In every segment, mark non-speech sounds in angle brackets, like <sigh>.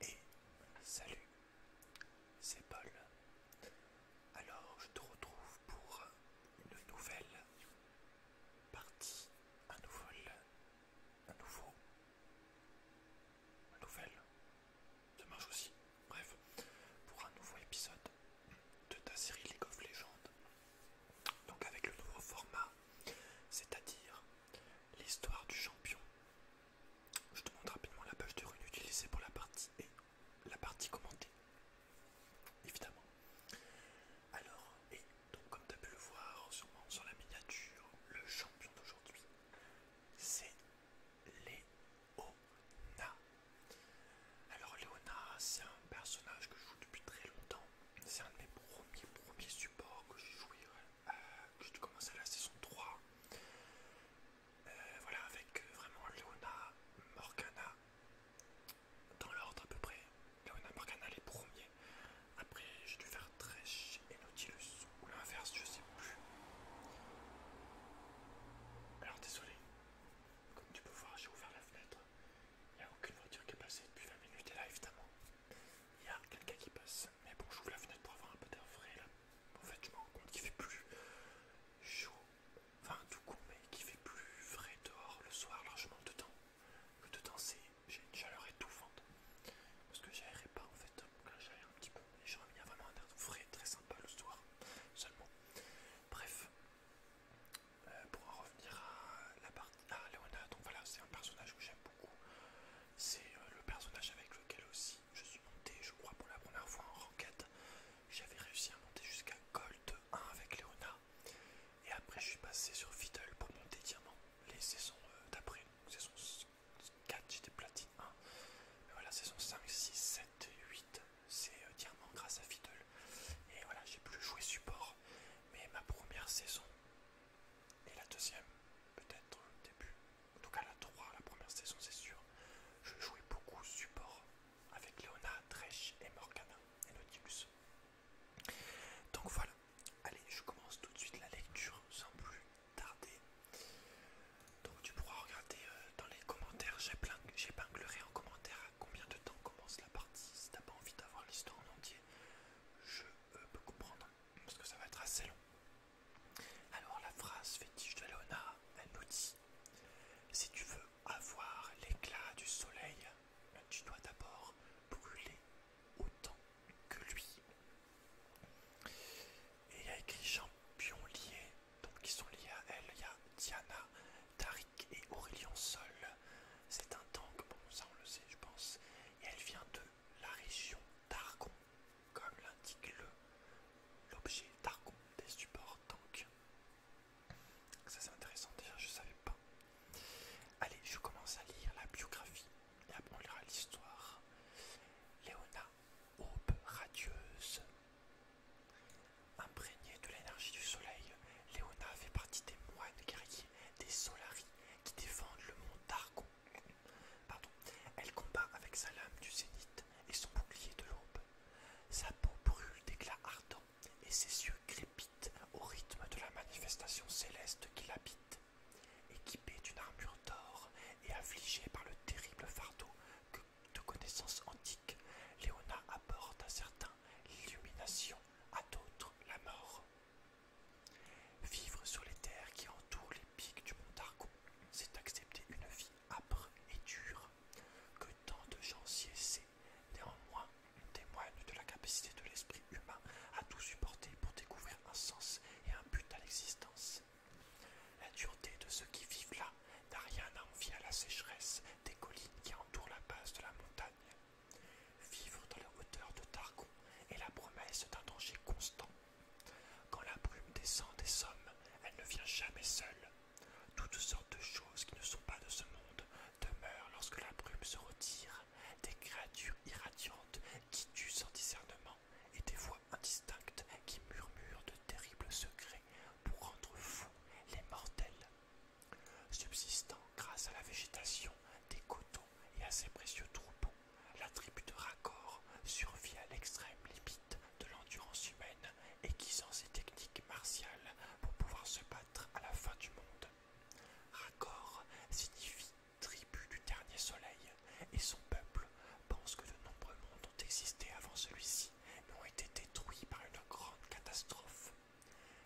Et salut, c'est Paul. Alors je te retrouve pour une nouvelle partie, un nouveau, un nouveau, un nouvelle, ça marche aussi. Bref, pour un nouveau épisode de ta série League of Legends. Donc avec le nouveau format, c'est-à-dire L'histoire du champion. Je te montre rapidement la page de rune utilisée pour la partie et la partie commentée. Évidemment. Alors, et donc comme tu as pu le voir sur la miniature, le champion d'aujourd'hui, c'est Léona. Alors Léona, c'est un personnage que je joue depuis très longtemps. C'est un de mes premiers, premiers supports que j'ai joué j'ai dû commencer la saison 3. Euh, voilà, avec euh, vraiment Leona, Morgana, dans l'ordre à peu près. Leona, Morgana les premiers. Après, j'ai dû faire Tresh et Nautilus, ou l'inverse, je sais plus. Alors, désolé, comme tu peux voir, j'ai ouvert la fenêtre. Il n'y a aucune voiture qui est passée depuis 20 minutes, et là, évidemment, il y a quelqu'un qui passe, mais bon, j'ouvre la fenêtre pour avoir un peu d'air frais là. En fait, je me rends compte qu'il fait plus chaud, enfin tout con, mais qu'il fait plus frais dehors le soir largement dedans. Que dedans, j'ai une chaleur étouffante parce que j'aérais pas en fait. Là, j'aérerai un petit peu, mais j'ai vraiment un air frais très sympa le soir seulement. Bref, euh, pour en revenir à la partie. Ah, Léona, donc voilà, c'est un personnage que j'aime beaucoup. C'est euh, le personnage avec lequel aussi je suis monté, je crois, pour la première fois en ranked. J'avais réussi à monter jusqu'à Gold 1 avec Leona. Et après, je suis passé sur Fiddle pour monter Diamant. Les saisons euh, d'après. d'après, saison 4, j'étais platine 1. Mais voilà, saison 5, 6, 7 et 8, c'est euh, Diamant grâce à Fiddle. Et voilà, j'ai plus joué support. Mais ma première saison, et la deuxième peut-être début. En tout cas la 3, la première saison c'est sûr. Je jouais beaucoup support avec Leona Trèche et Morgana et Nautilus. Donc voilà, allez je commence tout de suite la lecture sans plus tarder. Donc tu pourras regarder euh, dans les commentaires, j'ai j'épinglerai en commentaire à combien de temps commence la partie. Si t'as pas envie d'avoir l'histoire en entier, je euh, peux comprendre parce que ça va être assez long. Alors la phrase fétiche de Léona, elle nous dit Si tu veux avoir l'éclat du soleil, tu dois d'abord brûler autant que lui. Et il y a écrit champions liés ». donc qui sont liés à elle. Il y a Diana, Tariq et Aurélien Sol. C'est un tank, bon ça on le sait je pense. Et elle vient de la région d'argon, comme l'indique l'objet d'argon des supports donc Ça c'est intéressant déjà, je savais pas. Allez, je commence à lire la biographie et après on lira l'histoire. Léona, aube radieuse. Imprégnée de l'énergie du soleil, Léona fait partie des moines guerriers des Solari qui défendent le mont d'Argon Pardon. Elle combat avec sa lame du zénith et son bouclier de l'aube. Sa peau brûle d'éclats ardents et ses yeux crépitent au rythme de la manifestation céleste qui l'habite. Équipée d'une armure d'or et affligée par le terrible fardeau que de connaissances antiques, Léona apporte à certains l'illumination, à d'autres la mort. Vivre sur les terres qui entourent les pics du mont Targon, c'est accepter une vie âpre et dure, que tant de gens s'y essaient, néanmoins témoigne de la capacité de l'esprit humain à tout supporter pour découvrir un sens et un but à l'existence. La dureté de ceux qui vivent là n'a rien à envier à la sécheresse des collines qui entourent la base de la montagne. Vivre dans la hauteur de Targon est la promesse d'un danger constant quand la brume descend des sommes, elle ne vient jamais seule. Toutes sortes de choses qui ne sont pas de ce monde demeurent lorsque la brume se retire, des créatures irradiantes qui tuent sans discernement et des voix indistinctes qui murmurent de terribles secrets pour rendre fous les mortels. Subsistant grâce à la végétation, des coteaux et à ses précieux troupeaux, la tribu de Raccord survit à l'extrême limite de l'endurance humaine, aiguisant ses techniques martiales pour pouvoir se battre à la fin du monde. Raccord signifie tribu du dernier soleil, et son peuple pense que de nombreux mondes ont existé avant celui-ci, mais ont été détruits par une grande catastrophe.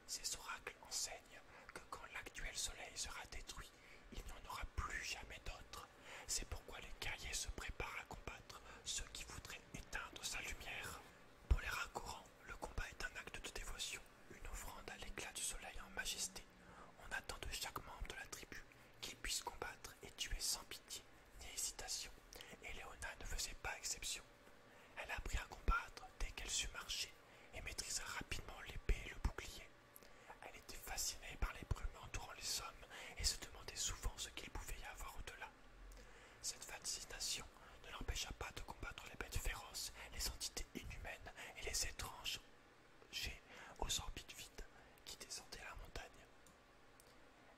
Ses oracles enseignent que quand l'actuel soleil sera détruit, il n'y en aura plus jamais d'autre. C'est pourquoi les guerriers se préparent à combattre ceux qui voudraient éteindre sa lumière. Pour les raccourants, le combat est un acte de dévotion, une offrande à l'éclat du soleil en majesté. On attend de chaque membre de la tribu qu'il puisse combattre et tuer sans pitié ni hésitation, et Léona ne faisait pas exception. Elle apprit à combattre dès qu'elle sut marcher et maîtrisa rapidement l'épée et le bouclier. Elle était fascinée par les brumes entourant les sommets et se demandait souvent ce qu'il pouvait y avoir au-delà. Cette fascination ne l'empêcha pas de combattre les bêtes féroces, les entités inhumaines et les étranges aux orbites vides qui descendaient la montagne.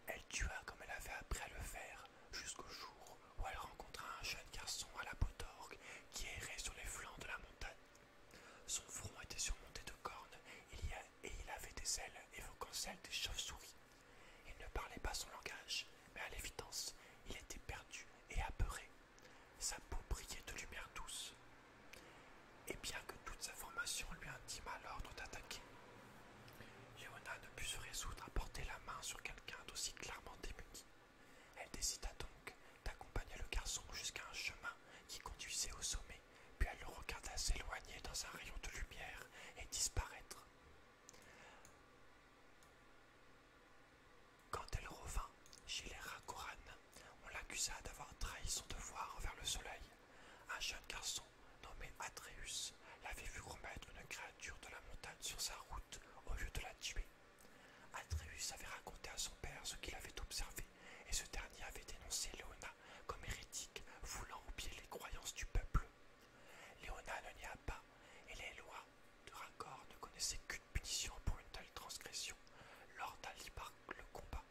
Elle tua comme elle avait appris à le faire, jusqu'au jour où elle rencontra un jeune garçon à la peau d'orgue qui errait sur les flancs de la montagne. Son front était surmonté de cornes et il avait des ailes évoquant celles des chauves-souris. Il ne parlait pas son langage, mais à l'évidence, il était perdu et apeuré. Sa peau brillait de lumière douce. Et bien que toute sa formation lui intima l'ordre d'attaquer, Léona ne put se résoudre à porter la main sur quelqu'un d'aussi clairement démuni. Elle décida donc d'accompagner le garçon jusqu'à un chemin qui conduisait au sommet puis elle le regarda s'éloigner dans un rayon de lumière et disparaître. Quand elle revint chez les Rakoran, on l'accusa d'avoir trahi son devoir envers le soleil. Un jeune garçon nommé Atreus l'avait vu remettre une créature de la montagne sur sa route au lieu de la tuer. Atreus avait raconté à son père ce qu'il avait observé et ce dernier avait dénoncé Léona comme hérétique, voulant oublier les croyances du peuple. Léona ne nia pas, et les lois de raccord ne connaissaient qu'une punition pour une telle transgression lors d'un le combat.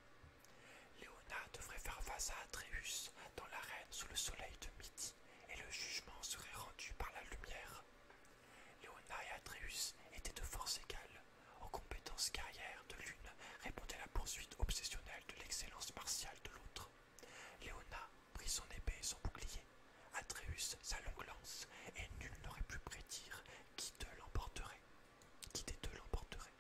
Léona devrait faire face à Atreus dans l'arène sous le soleil de midi, et le jugement serait rendu par la lumière. Léona et Atreus étaient de force égale, aux compétences carrières de l'une répondait la poursuite obsessionnelle de l'excellence martiale de l'autre. Léona prit son épée et son bouclier, Atreus sa longue lance, et nul n'aurait pu prédire qui de l'emporterait. Qui des l'emporterait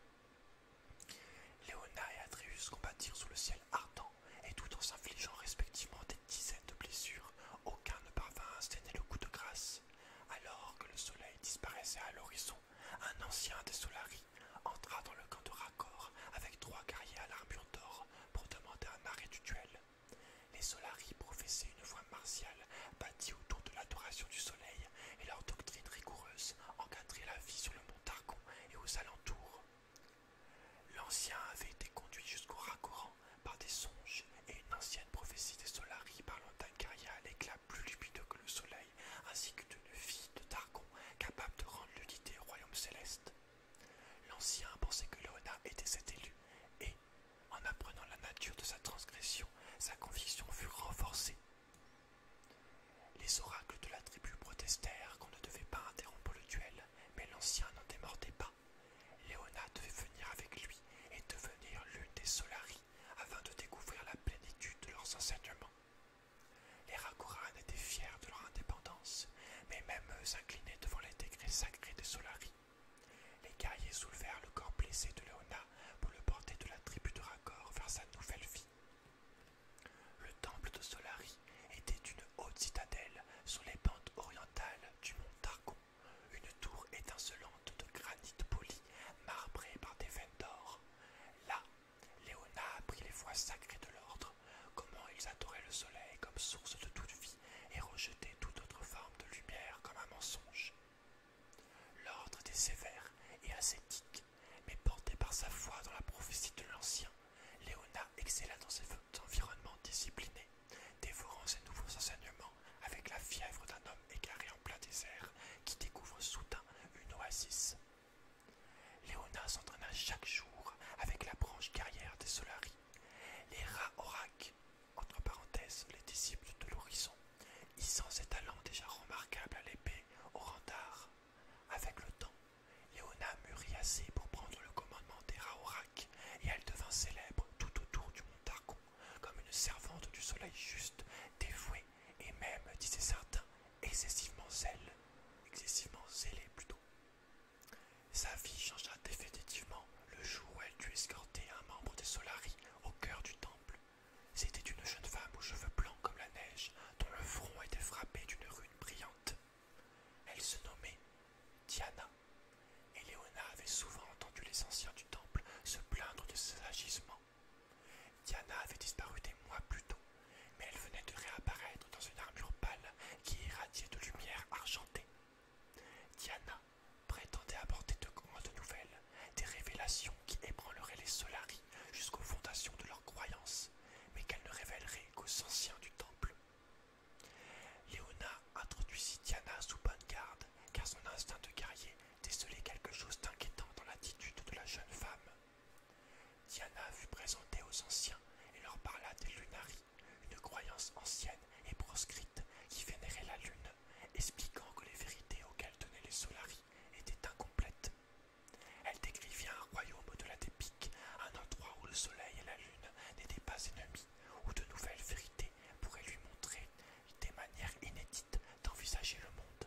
Léona et Atreus combattirent sous le ciel ardent, et tout en s'infligeant respectivement des dizaines de blessures, aucun ne parvint à installer le coup de grâce. Alors que le soleil disparaissait à l'horizon, un ancien des Solari entra dans le camp de raccord avec trois guerriers à l'armure d'or pour demander un arrêt du duel. Les Solari professaient une foi martiale bâtie autour de l'adoration du soleil et leur doctrine rigoureuse encadrait la vie sur le mont Targon et aux alentours. L'ancien avait été conduit jusqu'au Racoran par des songes et une ancienne prophétie des Solari parlant d'un guerrier à l'éclat plus lumineux que le soleil ainsi que d'une fille de Targon capable de rendre l'unité au royaume céleste. L'ancien pensait que Léona était cet élu, et, en apprenant la nature de sa transgression, sa conviction fut renforcée. Les oracles de la tribu protestèrent qu'on ne devait pas interrompre le duel, mais l'ancien n'en démordait pas. Léona devait venir avec lui et devenir l'une des Solaris afin de découvrir la plénitude de leurs enseignements. Les Rakoran étaient fiers de leur indépendance, mais même eux s'inclinaient devant les degrés sacrés des Solari. Les guerriers soulevèrent le corps blessé de Leona pour le porter de la tribu de Raccord vers sa nouvelle vie. Le temple de Solari était une haute citadelle sur les pentes orientales du mont Targon, une tour étincelante de granit poli Marbré par des veines d'or. Là, Léona apprit les voies sacrées de l'ordre, comment ils adoraient le soleil comme source de toute vie et rejetaient toute autre forme de lumière comme un mensonge. L'ordre était sévère et ascétique, mais porté par sa foi dans la prophétie de l'ancien, Léona excella dans ses environnements disciplinés, dévorant ses nouveaux enseignements avec la fièvre d'un homme égaré en plein désert qui découvre soudain une oasis. Léona s'entraîna chaque jour avec la branche guerrière des Solari, les rats orak entre parenthèses les disciples de l'horizon, hissant ses talents déjà remarquables à l'épée au rendard. Avec le temps, Léona mûrit assez pour prendre le commandement des rats et elle devint célèbre tout autour du mont comme une servante du soleil juste, dévouée, et même, disaient certains, excessivement zèle, excessivement zélée plutôt. Sa vie changea définitivement le jour où elle dut escorter un membre des Solari au cœur du temple. C'était une jeune femme aux cheveux blancs comme la neige, dont le front était frappé d'une rune brillante. Elle se nommait Diana, et Léona avait souvent entendu les anciens du temple se plaindre de ses agissements. Diana avait disparu des mois plus tôt, mais elle venait de réapparaître dans une armure pâle qui irradiait de lumière argentée. Diana prétendait apporter de grandes nouvelles, des révélations qui ébranleraient les Solaris jusqu'aux fondations de leur croyance, mais qu'elle ne révélerait qu'aux anciens du temple. Léona introduisit Diana sous bonne garde, car son instinct de guerrier décelait quelque chose d'inquiétant dans l'attitude de la jeune femme. Diana fut présentée aux anciens et leur parla des Lunaris, une croyance ancienne et proscrite qui vénérait la lune, expliquant que les vérités auxquelles tenaient les Solaris étaient incomplètes. Elle décrivit un royaume de la dépique, un endroit où le soleil et la lune n'étaient pas ennemis, où de nouvelles vérités pourraient lui montrer des manières inédites d'envisager le monde.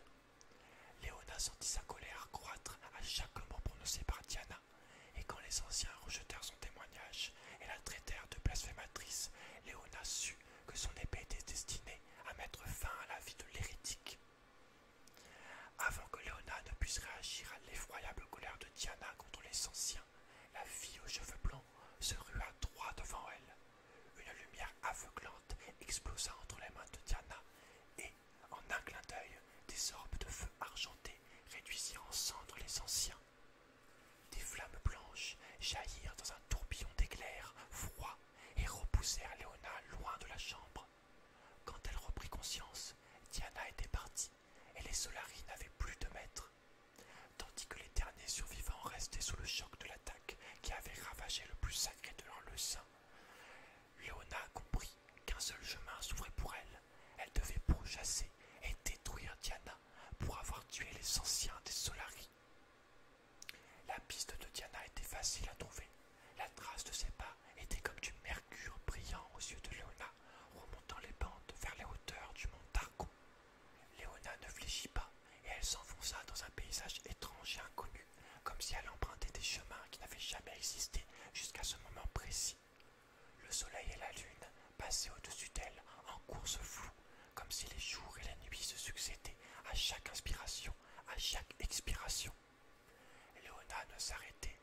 Léona sentit sa colère croître à chaque mot prononcé par Diana, et quand les anciens rejetèrent son témoignage et la traitèrent de blasphématrice, Léona sut que son épée était destinée à mettre fin à la vie de l'hérétique. Avant que Léona ne puisse réagir à l'effroyable colère de Diana contre les anciens, la fille aux cheveux blancs se rua droit devant elle. Une lumière aveuglante explosa entre les mains de Diana, et, en un clin d'œil, des orbes de feu argenté réduisirent en cendres les anciens. Des flammes blanches jaillirent dans un tourbillon d'éclairs froids et repoussèrent Léona loin de la chambre. Quand elle reprit conscience, Diana était partie et les solaris n'avaient plus de maître, tandis que les derniers survivants restaient sous le choc de l'attaque qui avait ravagé le plus sacré de leur leçon. Léona comprit qu'un seul chemin s'ouvrait pour elle. Elle devait pourchasser et détruire Diana pour avoir tué les anciens des Solari. La piste de Diana était facile à trouver. La trace de ses pas était comme du mercure brillant aux yeux de Léona, remontant les pentes vers les hauteurs du mont Darko. Léona ne fléchit pas et elle s'enfonça dans un paysage étrange et inconnu, comme si elle empruntait des chemins qui n'avaient jamais existé jusqu'à ce moment précis. Le soleil et la lune passaient au-dessus d'elle en course floue, comme si les jours et la nuit se succédaient à chaque inspiration, à chaque expiration. Léona ne s'arrêtait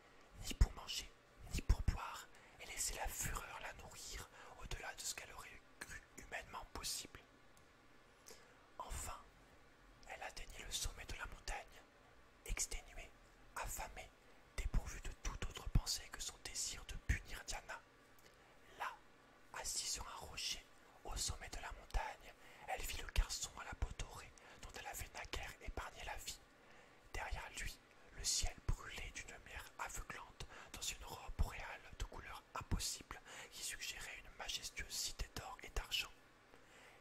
ni pour manger, ni pour boire, et laissait la fureur la nourrir au-delà de ce qu'elle aurait cru humainement possible. Enfin, elle atteignit le sommet de la montagne, exténuée, affamée, dépourvue de toute autre pensée que son désir de punir Diana. Là, assise sur un rocher, au sommet de la montagne, elle vit le garçon à la peau dorée dont elle avait naguère épargné la vie. Derrière lui, le ciel brûlait d'une mer aveuglante dans une robe boréale de couleur impossible qui suggérait une majestueuse cité d'or et d'argent.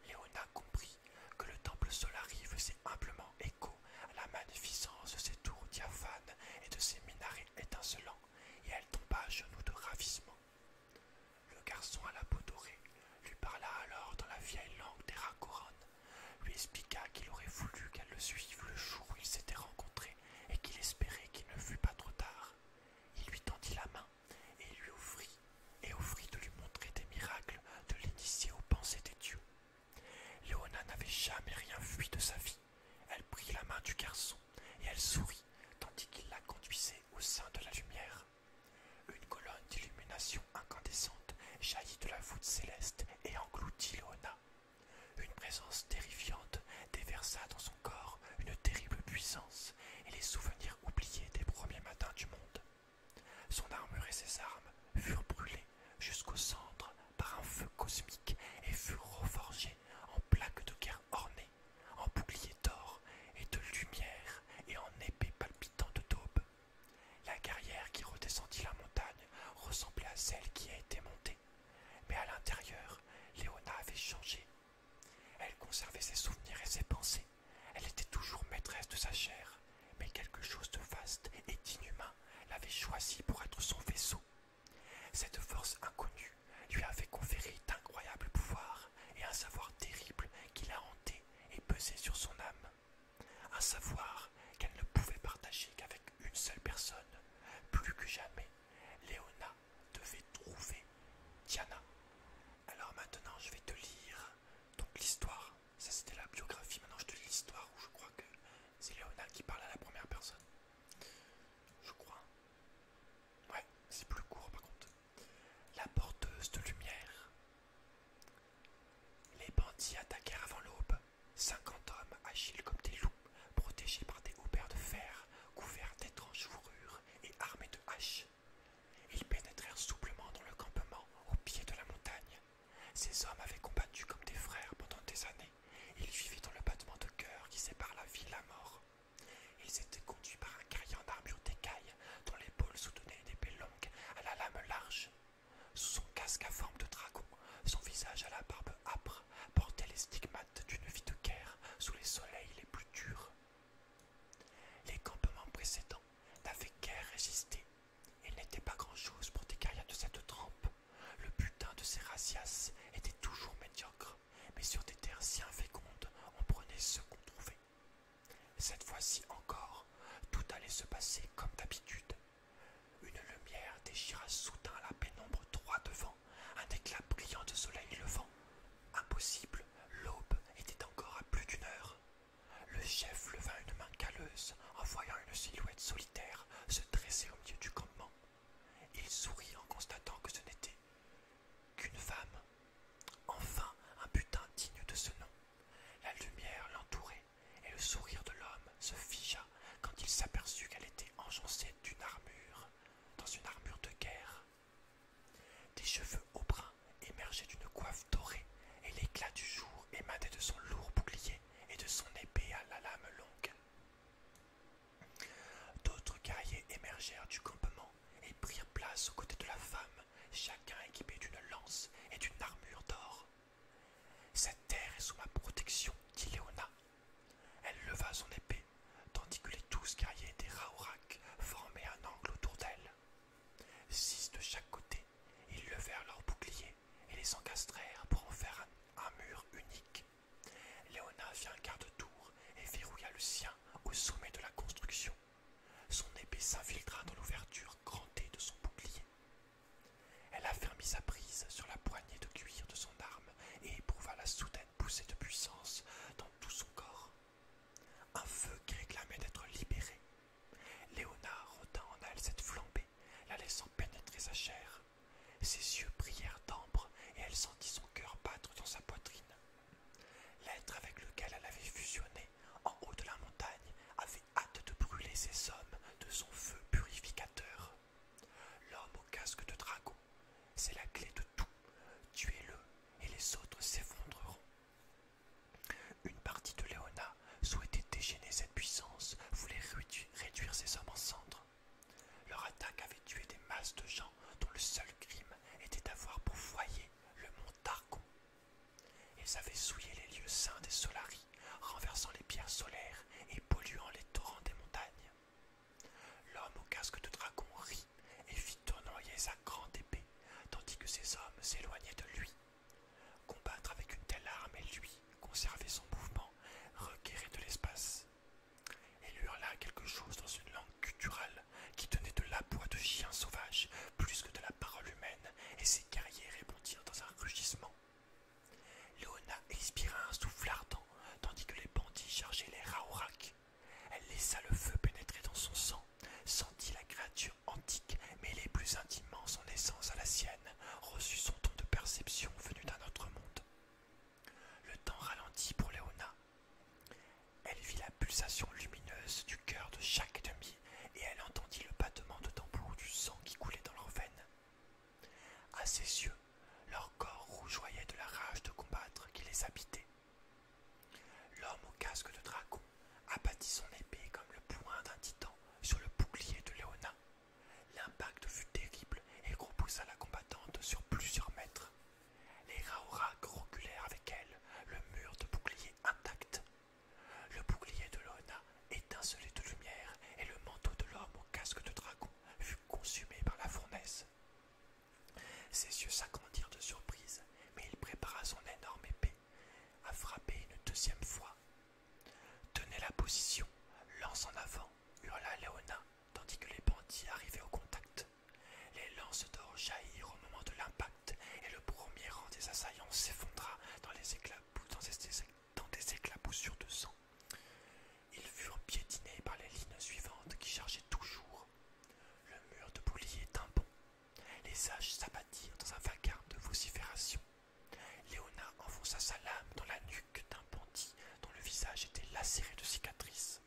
Léona comprit que le temple Solari faisait humblement écho à la magnificence de ses tours diaphanes et de ses minarets étincelants, et elle tomba à genoux de ravissement. Le garçon à la peau dorée lui parla alors dans la vieille langue des Rakoran, lui expliqua qu'il aurait voulu qu'elle le suive le jour où ils s'étaient rencontrés et qu'il espérait qu'il ne fût pas trop tard. Il lui tendit la main et lui offrit et offrit de lui montrer des miracles, de l'initier aux pensées des dieux. Léona n'avait jamais rien fui de sa vie. Elle prit la main du garçon et elle sourit tandis qu'il la conduisait au sein de la lumière. Une colonne d'illumination incandescente jaillit de la voûte céleste et engloutit Léona. Une présence terrifiante déversa dans son corps une terrible puissance et les souvenirs oubliés des premiers matins du monde. Son armure et ses armes furent brûlées jusqu'au centre par un feu cosmique et furent reforgées en plaques de guerre ornées, en boucliers d'or et de lumière et en épées palpitantes d'aube. La carrière qui redescendit la montagne ressemblait à celle qui a été montée, mais à l'intérieur, Léona avait changé elle conservait ses souvenirs et ses pensées. Elle était toujours maîtresse de sa chair, mais quelque chose de vaste et d'inhumain l'avait choisie pour être son vaisseau. Cette force inconnue lui avait conféré d'incroyables pouvoirs et un savoir terrible qui la hantait et pesait sur son âme. Un savoir qu'elle ne pouvait partager qu'avec une seule personne. Plus que jamais, Léona devait trouver Diana. Alors maintenant je vais te lire donc l'histoire. Ça c'était la biographie, maintenant je te lis l'histoire où je crois que c'est Léona qui parle à la première personne. Je crois. Ouais, c'est plus court par contre. La porteuse de lumière. Les bandits attaquèrent avant l'aube. 50 hommes agiles comme des loups, protégés par des haubères de fer, couverts d'étranges fourrures et armés de haches. Ils pénétrèrent souplement dans le campement au pied de la montagne. Ces hommes avaient combattu comme des frères pendant des années. Ils vivaient dans le battement de cœur qui sépare la vie de la mort. Ils étaient conduits par un carillon d'armure d'écaille dont l'épaule soutenait une épée longue à la lame large. Sous son casque à forme de dragon, son visage à la barbe âpre portait les stigmates d'une vie de guerre sous les soleils les plus durs. Les campements précédents n'avaient guère résisté. et n'était pas grand-chose pour des guerriers de cette trempe. Le butin de ces racias était toujours médiocre, mais sur des terres si infécondes, on prenait ce qu'on trouvait. Cette fois-ci encore, tout allait se passer comme d'habitude. Une lumière déchira soudain la pénombre droit devant, un éclat brillant de soleil levant. Impossible L'aube était encore à plus d'une heure. Le chef leva une main calleuse en voyant une silhouette solitaire se dresser au milieu du campement. Il sourit en constatant que ce n'était qu'une femme. Enfin un butin digne de ce nom. La lumière l'entourait et le sourire de l'homme se figea quand il s'aperçut qu'elle était enjoncée d'une armure, dans une armure de guerre. Des cheveux au brun émergeaient d'une coiffe dorée, et l'éclat du jour émanait de son lourd bouclier et de son épée à la lame longue. D'autres guerriers émergèrent du campement et prirent place aux côtés de la femme, chacun équipé d'une lance et d'une armure d'or. Cette terre est sous ma protection, dit Léona. Elle leva son épée tandis que les douze guerriers des Raourac formaient un angle autour d'elle. Six de chaque côté, ils levèrent leurs boucliers et les encastrèrent pour en faire un, mur unique. Léona fit un quart de tour et verrouilla le sien au sommet de la construction. Son épée s'infiltra dans l'ouverture grandée de son bouclier. Elle affermit sa prise sur la poignée de cuir de son arme et éprouva la soudaine poussée de puissance dans tout son corps. Un feu qui réclamait d'être libéré. Léonard retint en elle cette flambée, la laissant pénétrer sa chair. Ses yeux prièrent d'ambre et elle sentit son cœur battre dans sa poitrine. L'être avec lequel elle avait fusionné en haut de la montagne avait hâte de brûler ses hommes de son feu purificateur. L'homme au casque de dragon, c'est la clé de tout Tuez-le et les autres s'effondreront. Une partie de Léona souhaitait déchaîner cette puissance, voulait réduire ses hommes en cendres. Leur attaque avait tué des masses de gens dont le seul crime était d'avoir pour foyer le mont Targon. Ils avaient souillé les lieux saints des Solaris, renversant les pierres solaires et polluant les torrents des montagnes. L'homme au casque de dragon rit et fit tournoyer sa grande épée, tandis que ses hommes s'éloignaient de lui. Combattre avec une telle arme et lui, conserver son mouvement, requérait de l'espace. Il hurla quelque chose dans une langue culturelle qui tenait de l'aboi de chiens sauvages plus que de la parole humaine, et ses guerriers répondirent dans un rugissement. Léona expira un souffle ardent, tandis que les bandits chargeaient les raouracs elle laissa le feu pénétrer dans son sang, sentit la créature antique mêler plus intimement son essence à la sienne, reçut son ton de perception venu d'un autre monde. Le temps ralentit pour Léona. Elle vit la pulsation lumineuse du cœur de chaque demi et elle entendit le battement de tambour du sang qui coulait dans leurs veines. À ses yeux, leur corps rougeoyait de la rage de combattre qui les habitait. L'homme au casque de dragon abattit son épée comme le poing d'un titan sur le bouclier de Léona. L'impact fut terrible et repoussa la combattante sur plusieurs mètres. Les Raorak reculèrent avec elle, le mur de bouclier intact. Le bouclier de Léona étincelait de lumière et le manteau de l'homme au casque de dragon fut consumé par la fournaise. Ses yeux s'agrandirent de surprise, mais il prépara son énorme épée à frapper une deuxième fois. Tenez la position, lance en avant, hurla Léona, tandis que les bandits arrivaient au contact. Les lances d'or jaillirent au moment de l'impact, et le premier rang des assaillants s'effondra dans des éclaboussures de sang. Ils furent piétinés par les lignes suivantes qui chargeaient toujours le mur de boulier bon Les âges s'abattirent dans un vacarme de vocifération. Léona enfonça sa lame dans la nuque d'un bandit dont le visage était lacéré de cicatrices.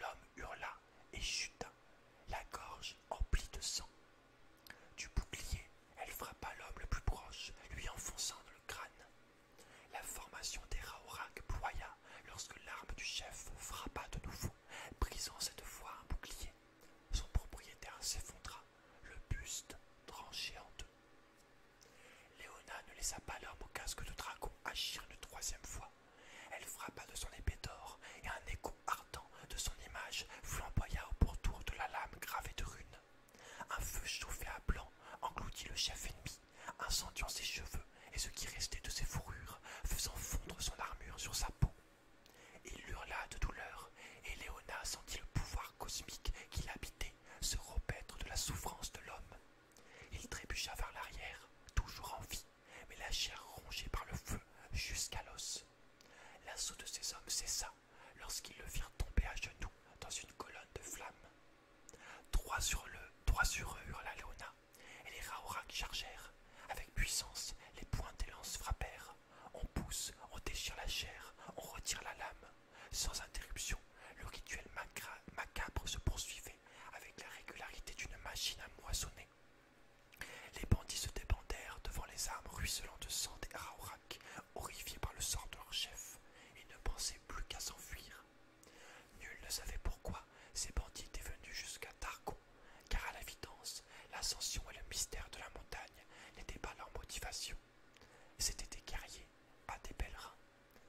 L'homme hurla et chuta, la gorge emplie de sang. Du bouclier, elle frappa l'homme le plus proche, lui enfonçant dans le crâne. La formation des Raorak ploya lorsque l'arme du chef frappa de nouveau brisant cette fois un bouclier. Son propriétaire s'effondra, le buste tranché en deux. Léona ne laissa pas l'homme au casque de dragon agir une troisième fois. Elle frappa de son épée d'or, et un écho ardent de son image flamboya au pourtour de la lame gravée de runes. Un feu chauffé à blanc engloutit le chef ennemi, incendiant ses cheveux et ce qui restait de ses fourrures, faisant fondre son armure sur sa peau. Il hurla de douleur, et Léona sentit le pouvoir cosmique qui l'habitait se repaître de la souffrance de l'homme. Il trébucha vers l'arrière, toujours en vie, mais la chair rongée par le feu jusqu'à l'os. L'assaut de ces hommes cessa lorsqu'ils le firent tomber à genoux dans une colonne de flammes. Trois sur, le, trois sur eux hurla Léona, et les raorac chargèrent. Avec puissance, les pointes des lances frappèrent. On pousse, on déchire la chair, on retire la lame. Sans interruption, le rituel macabre se poursuivait avec la régularité d'une machine à moissonner. Les bandits se débandèrent devant les armes ruisselant de sang des Raorak, horrifiés par le sort de leur chef, et ne pensaient plus qu'à s'enfuir. Nul ne savait pourquoi ces bandits étaient venus jusqu'à Targon, car à l'évidence, l'ascension et le mystère de la montagne n'étaient pas leur motivation. C'étaient des guerriers, pas des pèlerins,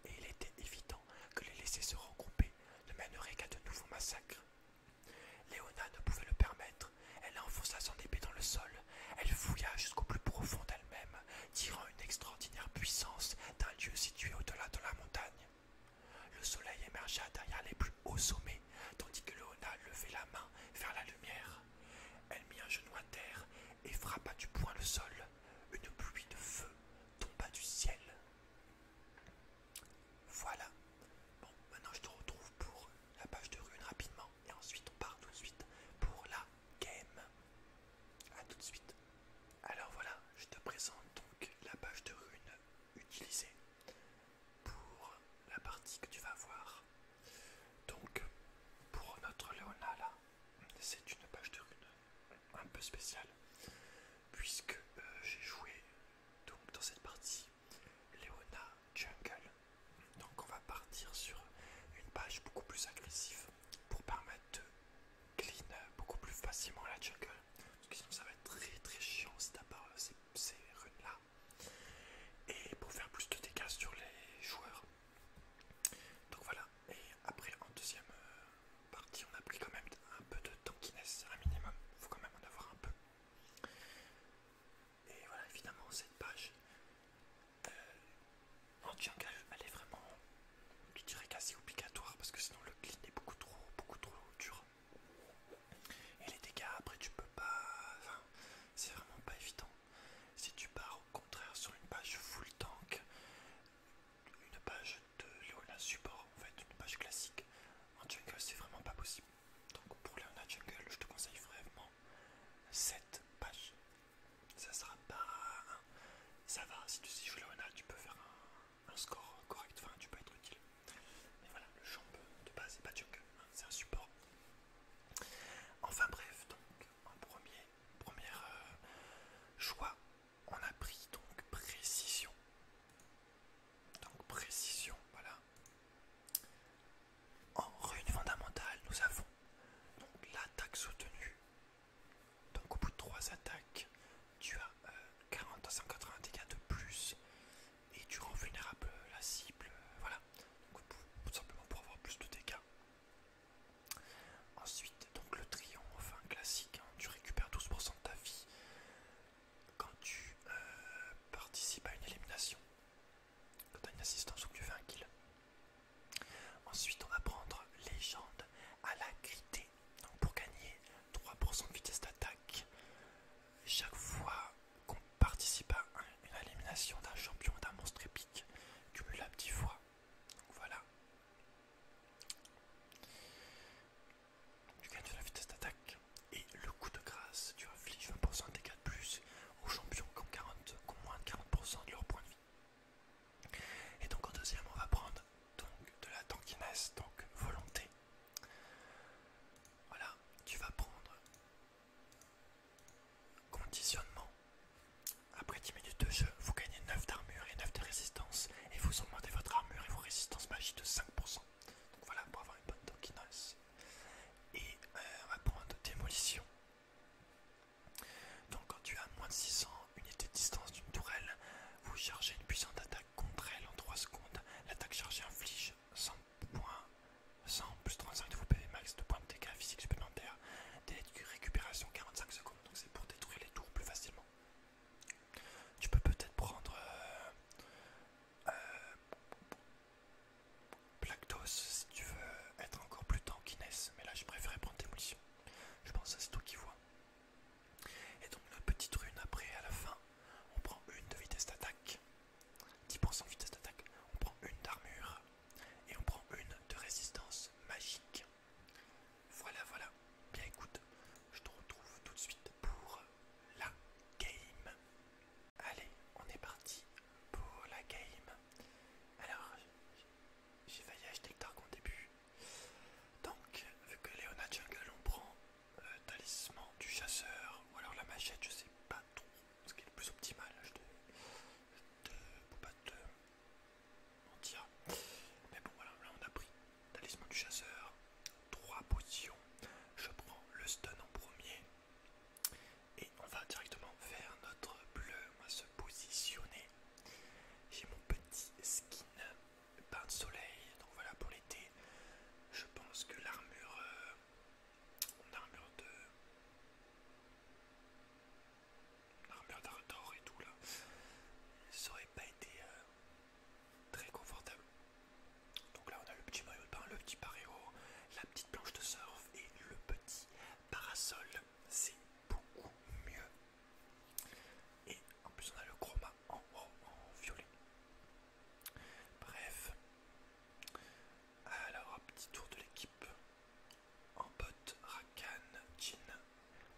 et il était évident que les laisser se regrouper ne mènerait qu'à de nouveaux massacres. Léona ne pouvait le permettre, elle enfonça son épée dans le sol, elle fouilla jusqu'au plus profond d'elle-même, tirant une extraordinaire puissance d'un lieu situé au-delà de la montagne. Le soleil émergea derrière les plus hauts sommets, tandis que Léona levait la main vers la lumière. Elle mit un genou à terre et frappa du poing le sol. Une pluie de feu tomba du ciel. Voilà. Bon, maintenant je te retrouve pour la page de rune rapidement. Et ensuite on part tout de suite pour la game. A tout de suite. Alors voilà, je te présente donc la page de rune utilisée pour la partie que tu vas voir. Donc, pour notre Leona là, c'est une page de rune un peu spéciale, puisque euh, j'ai joué donc dans cette partie Leona Jungle. Donc, on va partir sur une page beaucoup plus agressive pour permettre de clean beaucoup plus facilement la jungle parce que sinon ça va être très très chiant si t'as pas ces, runes là. Et pour faire plus de dégâts sur les joueurs. Donc voilà. Et après en deuxième euh, partie on a pris quand même un peu de tankiness, un minimum. Faut quand même en avoir un peu. Et voilà, évidemment cette page euh, En anti elle est vraiment, tu dirais quasi obligatoire parce que sinon le clean est beaucoup trop, beaucoup trop dur. Et les dégâts, après, tu peux pas. c'est vraiment pas évident. Si tu pars au contraire sur une page full tank, une page de Leona support, en fait, une page classique, en jungle, c'est vraiment pas possible. Donc, pour Leona jungle, je te conseille vraiment cette page. Ça sera pas. Ça va, si tu sais jouer Leona, tu peux faire un un score correct, enfin tu peux être utile. Mais voilà, le champ de base c'est pas de hein. joker, c'est un support. Enfin bref, donc en premier, première euh, choix, on a pris donc précision. Donc précision, voilà. En rune fondamentale, nous avons donc l'attaque soutenue. Donc au bout de trois attaques, tu as 40 à 180 dégâts de plus et tu rends vulnérable euh, la cible, euh, voilà, tout simplement pour avoir plus de dégâts. Ensuite, donc le triomphe enfin classique, hein, tu récupères 12% de ta vie quand tu euh, participes à une élimination, quand tu as une assistance ou que tu fais un kill. Ensuite, on va prendre légende à la crité. Donc pour gagner 3% de vitesse d'attaque, chaque fois qu'on participe à une élimination d'un champion d'un monstre épique, cumulable 10 fois. Donc voilà. Tu gagnes de la vitesse d'attaque et le coup de grâce, tu infliges 20% de dégâts de plus aux champions qui ont, 40, moins de 40% de leur point de vie. Et donc en deuxième, on va prendre donc de la tankiness, donc volonté, voilà, tu vas prendre conditionnement. Après 10 minutes de jeu, vous gagnez 9 d'armure et 9 de résistance. Et vous augmentez votre armure et vos résistances magiques de 5%. Donc voilà, pour avoir une bonne tokenice. Et euh, on va prendre démolition. Donc quand tu as moins de 600 unités de distance d'une tourelle, vous chargez une puissante attaque contre elle en 3 secondes. L'attaque chargée inflige 100 points, 100 plus 35 de PV max de points de dégâts physiques supplémentaires. des de récupération 45 secondes. Donc c'est pour détruire les tours plus facilement. Tu peux peut-être prendre Plactos euh, euh, si tu veux être encore plus tankiness. Mais là, je préférais prendre Démolition. Je pense que c'est toi qui vois. Et donc notre petite rune après à la fin, on prend une de vitesse d'attaque, 10% vitesse d'attaque, on prend une d'armure et on prend une de résistance magique. Voilà, voilà. Bien écoute, je te retrouve tout de suite pour la game. Allez, on est parti pour la game. Alors, j'ai failli acheter le Dark au début. Donc, vu que Léona Jungle, on prend euh, talisman du chasseur ou alors la machette, je sais pas trop ce qui est le plus optimal. Je te, peux pas te mentir, mais bon, voilà, là on a pris talisman du chasseur, trois potions. Je prends le stun en premier et on va directement faire notre bleu. On va se positionner. J'ai mon petit skin bain de soleil, donc voilà pour l'été. Je pense que l'armure, l'armure euh, de, l'armure d'or et tout là, ça aurait pas été euh, très confortable. Donc là on a le petit maillot de bain, le petit paréo, la petite planche de surf et le petit parasol. C'est beaucoup mieux. Et en plus on a le chroma en violet. Bref. Alors, un petit tour de l'équipe. En bot, Rakan, Jin.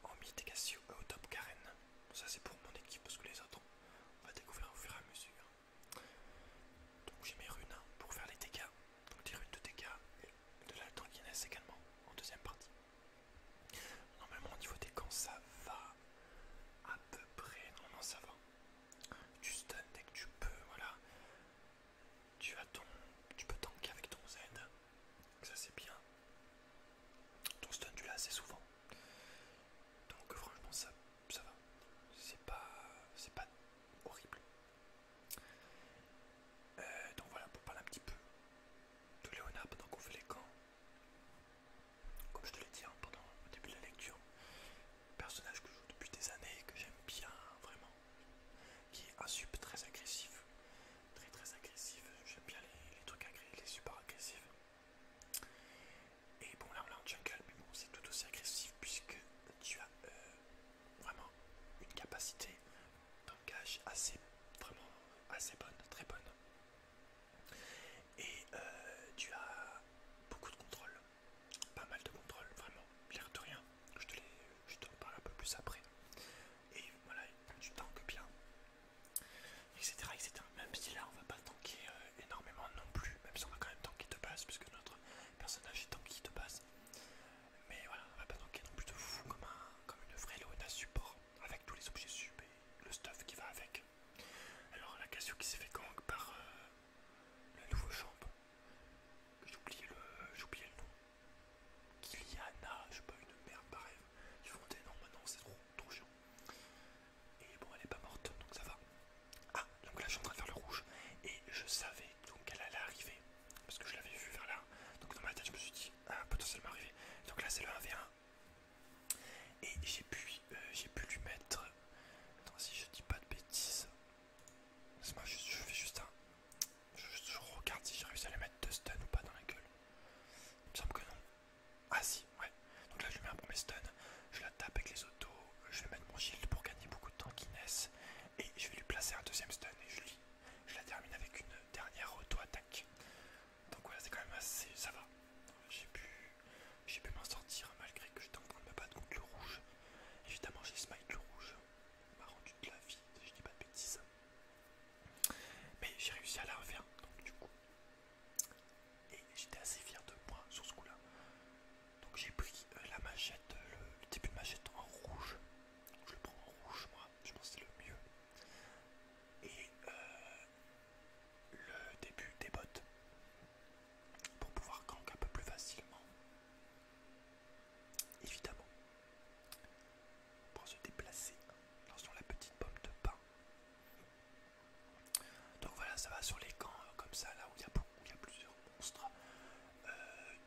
En mid, Cassio et au top, Karen. Ça, c'est pour mon équipe parce que les autres, on va découvrir au fur et à mesure. Donc, j'ai mes runes hein, pour faire les dégâts. Donc, des runes de dégâts et de la tankiness également en deuxième partie. Normalement, au niveau des camps, ça va à peu près. Non, non, ça va. Tu stun dès que tu peux, voilà. Tu as ton. Tu peux tanker avec ton Z. Ça c'est bien. Ton stun tu l'as assez souvent. Donc franchement ça, ça va. C'est pas. c'est pas horrible. Euh, donc voilà pour parler un petit peu de Léonard donc qu'on fait les camps comme je te l'ai dit hein, pendant au début de la lecture, personnage que je joue depuis des années que j'aime bien vraiment, qui est un sub très agressif, très très agressif, j'aime bien les, trucs agressifs, les super agressifs. Et bon là on en jungle, mais bon c'est tout aussi agressif puisque tu as euh, vraiment une capacité d'engage assez, vraiment assez bonne, très bonne. Et euh, tu as beaucoup de contrôle, pas mal de contrôle, vraiment, pire de rien. Je te reparle parle un peu plus après. Et voilà, tu tanques bien, etc. Même si là on va pas tanker euh, énormément non plus, même si on va quand même tanker de base, puisque notre personnage est tanky de base. Mais voilà, on va pas tanker non plus de fou comme, un, comme une vraie support, avec tous les objets sub et le stuff qui va avec. Alors la question qui s'est fait quand par euh, la nouvelle chambre, J'oubliais J'ai oublié le, le nom. Kiliana, je sais pas, une merde pareil. je suis des non, maintenant, c'est trop, trop chiant. Et bon, elle est pas morte, donc ça va. Ah, donc là je suis en train de faire le rouge. Et je savais donc qu'elle allait arriver. Parce que je l'avais vu vers là. Donc dans ma tête, je me suis dit, ah, potentiellement arriver. Donc là c'est le 1v1 et j'ai pu, euh, j'ai pu lui mettre. Attends, si je dis pas de bêtises. je, fais juste un. Je, regarde si j'ai réussi à lui mettre deux stuns ou pas dans la gueule. Il me semble que non. Ah si, ouais. Donc là, je lui mets un premier stun. Je la tape avec les autos. Je vais mettre mon shield pour gagner beaucoup de temps qui naissent. Et je vais lui placer un deuxième stun. Et je, lui, je la termine avec une dernière auto-attaque. Donc voilà, c'est quand même assez. Ça va. J'ai pu. J'ai pu m'en sortir malgré que j'étais en train de me battre contre le rouge. Évidemment, j'ai smite le rouge. Il m'a rendu de la vie, je dis pas de bêtises. Mais j'ai réussi à la refaire, donc du coup. Et j'étais assez fier de moi sur ce coup-là. Donc j'ai pris euh, la machette, euh, le, début de machette en rouge. Je le prends en rouge, moi, je pense que c'est le mieux. Et euh, le début des bottes pour pouvoir gank un peu plus facilement. Évidemment, pour se déplacer, dans la petite pomme de pain. Donc voilà, ça va sur les camps euh, comme ça, là où il y, a plusieurs monstres. Euh,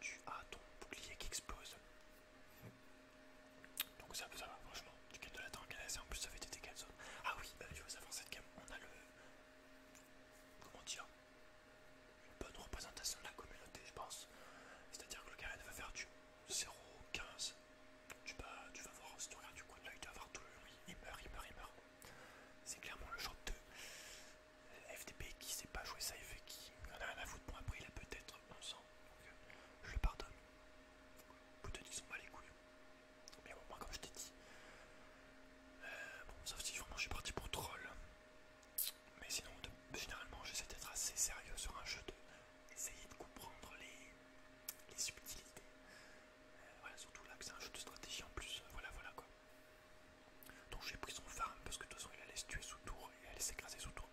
tu as ton bouclier qui explose. Donc ça, ça va, franchement, tu gagnes de la en plus ça fait des dégâts Ah oui, je euh, tu veux savoir cette game on a le comment dire, une bonne représentation de la communauté, je pense. C'est-à-dire que le carré va faire du 0,15. Tu vas, tu vas voir, si tu regardes du coin de l'œil, tu vas voir tout le Il meurt, il meurt, il meurt. C'est clairement le genre de FDP qui sait pas jouer ça et qui en a rien à foutre. pour après, il a peut-être 11 euh, je le pardonne. peut-être qu'ils sont mal les mais bon, moi, comme je t'ai dit, euh, bon, sauf si vraiment je suis parti pour troll. Mais sinon, généralement, j'essaie d'être assez sérieux sur un jeu, de, essayer de comprendre les, subtilités. Euh, voilà, surtout là que c'est un jeu de stratégie en plus, euh, voilà, voilà quoi. Donc j'ai pris son farm parce que de toute façon il allait se tuer sous tour et il allait s'écraser sous tour.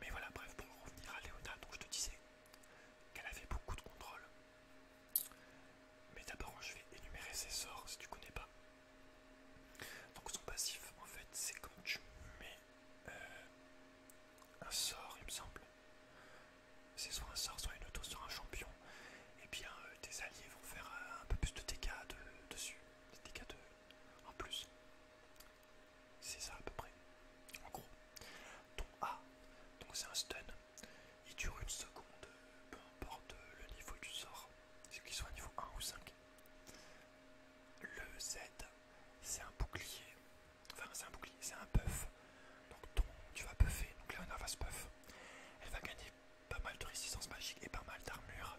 Mais voilà, bref, pour revenir à Léota donc je te disais, qu'elle avait beaucoup de contrôle. Mais d'abord, je vais énumérer ses sorts si tu connais pas. Donc, son passif, en fait, c'est quand tu mets euh, un sort, il me semble. C'est soit un sort, soit une auto sur un champion. Et bien, euh, tes alliés vont faire euh, un peu plus de dégâts dessus. Des dégâts de, en plus. C'est ça à peu près. En gros. Ton A, donc c'est un stun il dure une seconde, peu importe le niveau du sort, qu'il soit niveau 1 ou 5. Le Z, c'est un bouclier, enfin c'est un bouclier, c'est un buff, donc tu vas buffer, donc là a un se buff, elle va gagner pas mal de résistance magique et pas mal d'armure,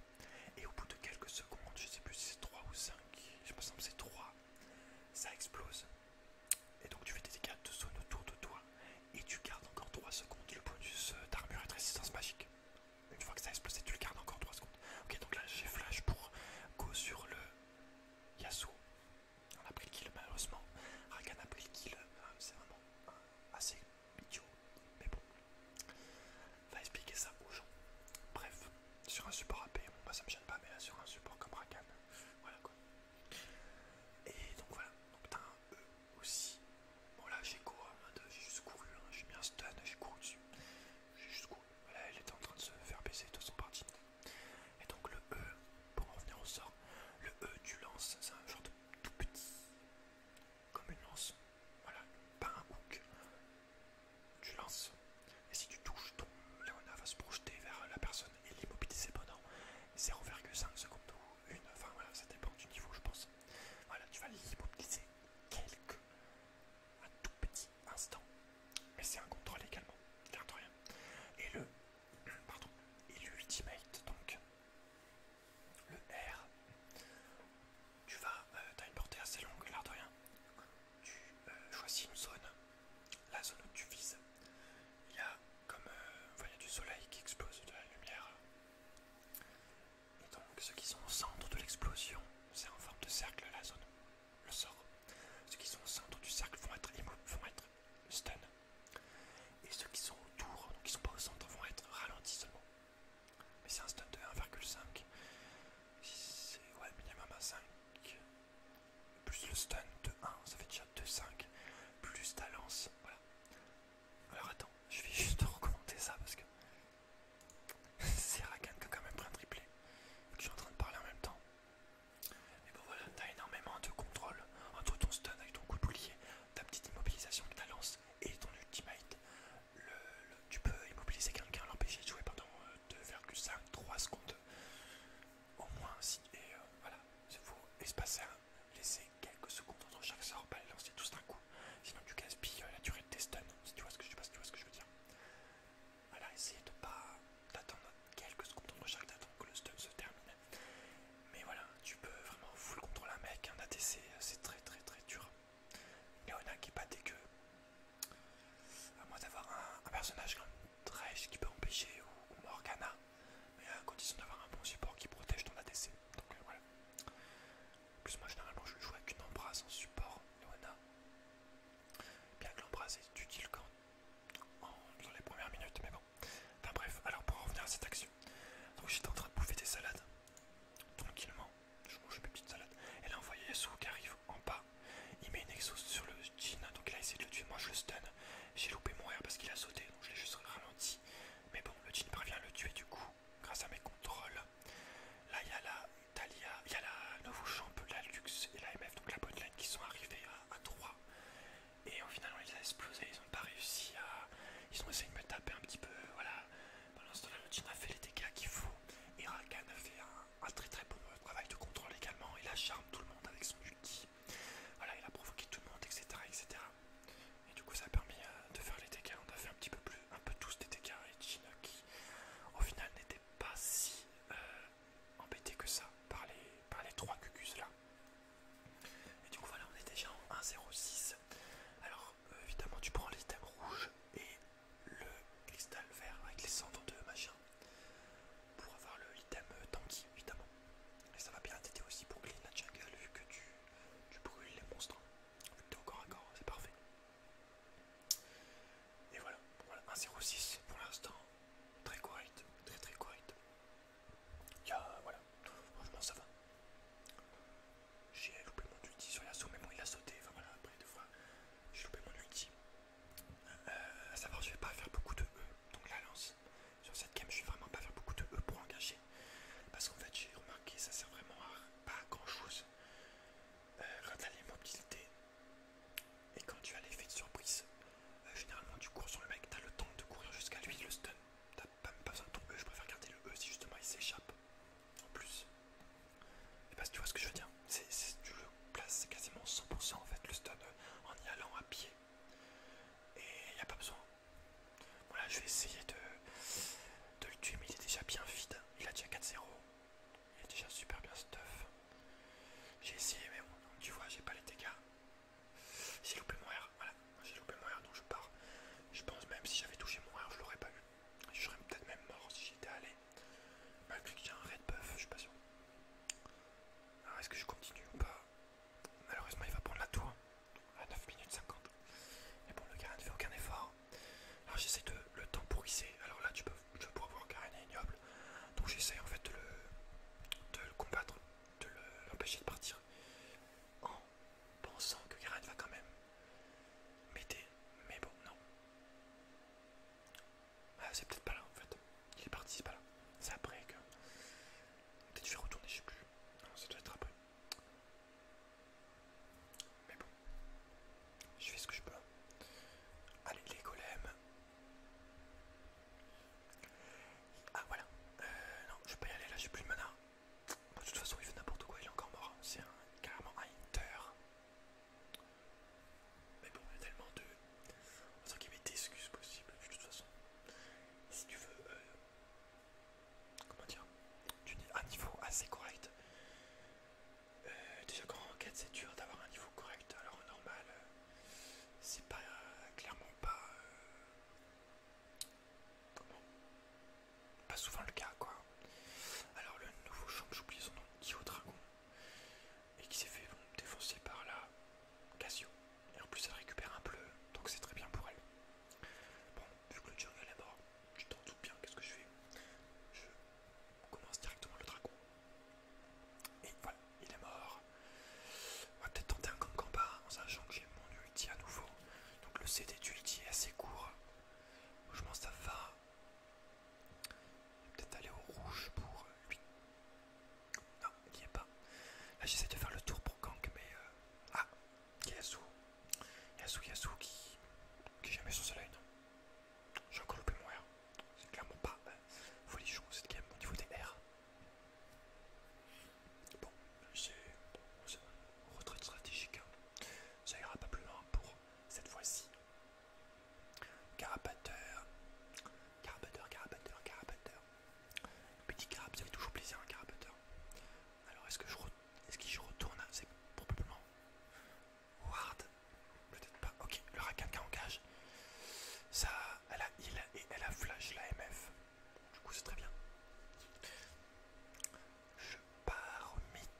et au bout de quelques secondes, je sais plus si c'est 3 ou 5, je me semble que c'est 3, ça explose, et donc tu fais des dégâts de zone autour de toi et tu gardes encore 3 secondes le bonus d'armure et de résistance magique. Une fois que ça a explosé, tu le gardes encore 3 secondes. Ok, donc là j'ai flash pour go sur le Yasuo. On a pris le kill malheureusement. Rakan a pris le kill, euh, c'est vraiment euh, assez idiot. Mais bon, va expliquer ça aux gens. Bref, sur un support AP, bon, bah ça me gêne pas, mais là sur un support comme Rakan, voilà quoi. Et donc voilà, t'as un E aussi. Bon là j'ai couru, j'ai juste couru, hein. j'ai mis un stun, j'ai couru dessus. J'ai juste couru. Voilà, elle était en train de se faire baisser de son parti. Et donc le E, pour en revenir au sort, le E tu lances, c'est un genre de tout petit, comme une lance. Voilà, pas un hook. Tu lances. Et si tu touches, ton Leona va se projeter vers la personne et l'immobiliser pendant 0,5 secondes ou une. Enfin voilà, ça dépend du niveau, je pense. Voilà, tu vas l'immobiliser quelques. un tout petit instant. Mais c'est un contrôle également, rien. Et le. <clears throat> pardon. Et l'ultimate, donc. Le R. Tu vas. Euh, t'as une portée assez longue, l'art de rien. Tu euh, choisis une zone. La zone où tu vises il y a comme un euh, du soleil qui explose de la lumière. Et donc ceux qui sont au centre de l'explosion, c'est en forme de cercle la zone, le sort. Ceux qui sont au centre du cercle vont être vont être stun. Et ceux qui sont autour, donc qui sont pas au centre, vont être ralentis seulement. Mais c'est un stun de 1,5. C'est ouais minimum à 5 plus le stun de 1, ça fait déjà 2-5, plus ta lance, voilà. Alors attends, je vais juste <laughs> recommander ça parce que <laughs> c'est Rakan qui quand même pris un triplé. Je suis en train de parler en même temps. Mais bon voilà, t'as énormément de contrôle entre ton stun avec ton coup de boulier, ta petite immobilisation avec ta lance et ton ultimate. tu peux immobiliser quelqu'un, l'empêcher de jouer pendant 2,5-3 euh, secondes au moins si et euh, voilà il faut espacer laisser quelques secondes entre chaque sort, pas les lancer tous d'un coup, sinon tu gaspilles la durée de tes stuns, si tu vois ce que je, veux dire. Voilà, essayez de pas d'attendre quelques secondes entre chaque, d'attendre que le stun se termine. Mais voilà, tu peux vraiment full contre un mec, un ATC, c'est très très très dur. a qui est que queues, À moins d'avoir un, un personnage comme Thresh qui peut empêcher ou, Morgana, mais à euh, condition d'avoir un bon support qui protège ton ADC. Donc euh, voilà. plus, moi généralement je joue avec une embrasse en support, Noana. Bien que l'embrasse est utile quand dans les premières minutes, mais bon. Enfin bref, alors pour revenir à cette action, donc j'étais en train de bouffer des salades tranquillement. Je mange mes petites salades. Et là, on voyait Yasuo qui arrive en bas. Il met une exo sur le jean, donc il a essayé de le tuer. Moi, je le stun j'ai loupé mon air parce qu'il a sauté, donc je l'ai juste ralenti. Mais bon, le jean parvient à le tuer du coup, grâce à mes contrôles. Là, il y a la Thalia, il y a la luxe la Lux et la MF, donc la botlane qui sont arrivés à, 3. Et finalement, ils on explosé a explosé ils ont pas réussi à. Ils ont essayé de me taper un petit peu, voilà. Pendant ce temps-là, le jean a fait les dégâts qu'il faut. Et Rakan a fait un, très très bon travail de contrôle également. Il a charme tout le monde avec son ulti. Voilà, il a provoqué tout le monde, etc. etc. Et du coup, ça a permis euh, de faire les dégâts. On a fait un petit peu plus, un peu tous des dégâts. Et Jin, qui au final n'était pas si euh, embêté que ça par les, par les trois cucus là. Et du coup, voilà, on est déjà en 1-0-6. Alors, euh, évidemment, tu prends l'item rouge et le cristal vert avec les cendres de machin pour avoir le item tanky évidemment. Et ça va bien t'aider aussi pour clean la vu que tu, brûles les monstres. Hein. Vu que t'es au corps à corps, c'est parfait. Et voilà, voilà 1.06 pour l'instant, très correct, très très correct. ya voilà, franchement ça va. J'ai loupé mon ulti sur l'assaut, mais bon il a sauté, enfin voilà, après deux fois, j'ai loupé mon ulti. Euh, à savoir, je vais pas faire beaucoup de E, donc la lance sur cette game, je suis vraiment pas faire beaucoup de E pour engager. Parce qu'en fait, j'ai remarqué, ça sert vraiment pas à grand chose. Euh, quand l'immobilité et quand tu as l'effet de surprise, euh, généralement tu cours sur le mec, t'as le temps de courir jusqu'à lui, le stun. T'as pas, pas besoin de ton E, je préfère garder le E si justement il s'échappe. En plus, et bah, tu vois ce que je veux dire, c'est, tu le places quasiment 100% en fait le stun euh, en y allant à pied et il n'y a pas besoin. Voilà, je vais essayer de, de le tuer, mais il est déjà bien vide. Il a déjà 4-0. Il est déjà super bien stuff. J'ai essayé, mais bon, tu vois, j'ai pas les dégâts. J'ai loupé mon R, voilà, j'ai loupé mon R, donc je pars. Je pense même si j'avais touché mon R, je l'aurais pas eu. Je serais peut-être même mort si j'étais allé. Malgré que j'ai un red buff, je suis pas sûr. Alors est-ce que je continue ou pas Malheureusement, il va prendre la tour à 9 minutes 50. Et bon, le Garen ne fait aucun effort. Alors j'essaie de le temporiser. Alors là, tu peux, je voir Karen est ignoble. Donc j'essaie en fait de le, combattre, de l'empêcher de partir. En pensant que Karen va quand même m'aider. Mais bon, non. Ah, c'est peut-être pas là en fait. Il est parti, c'est pas là. C'est après que. Peut-être je vais retourner, je sais plus. ça doit être après. Mais bon, je fais ce que je peux. Allez, les golems. Ah voilà. Euh, non, je vais pas y aller là, j'ai plus de mana. de toute façon, il fait n'importe quoi, il est encore mort. Hein. C'est carrément un inter. Mais bon, il y a tellement de. on avait des excuses possibles, de toute façon si tu veux, euh, comment dire, un niveau assez correct. Euh, déjà quand on enquête c'est dur d'avoir un niveau correct, alors normal, euh, c'est pas clairement pas, comment, pas souvent le cas quoi. Alors le nouveau champ, j'oublie son nom, qui est au dragon et qui s'est fait défoncer par là. Casio. Et en plus, elle récupère un bleu, donc c'est très bien pour elle. Bon, vu que le jungle est mort, je t'en doute bien, qu'est-ce que je fais Je commence directement le dragon. Et voilà, il est mort. On va peut-être tenter un combat, en sachant que j'ai mon ulti à nouveau. Donc le CD d'Ulti est assez court. Je pense que ça va. Peut-être aller au rouge pour lui. Non, il n'y est pas. Là, j'essaie de faire le tour pour Kang, mais. Euh, ah Yasu Yasu, Yasu qui. qui jamais sur ce line. J'ai encore loupé mon R. C'est clairement pas les euh, folichon cette game au niveau des R. Bon, c'est. retraite stratégique. Hein. Ça ira pas plus loin pour cette fois-ci. Carapateur. Carabatteur, carapateur, carapateur. Petit carap, ça fait toujours plaisir un carapeteur. Alors est-ce que je, est -ce que je retourne C'est probablement... Ward Peut-être pas. Ok, le en en Ça, elle a heal et elle a flash la MF. Du coup c'est très bien. Je pars au mid.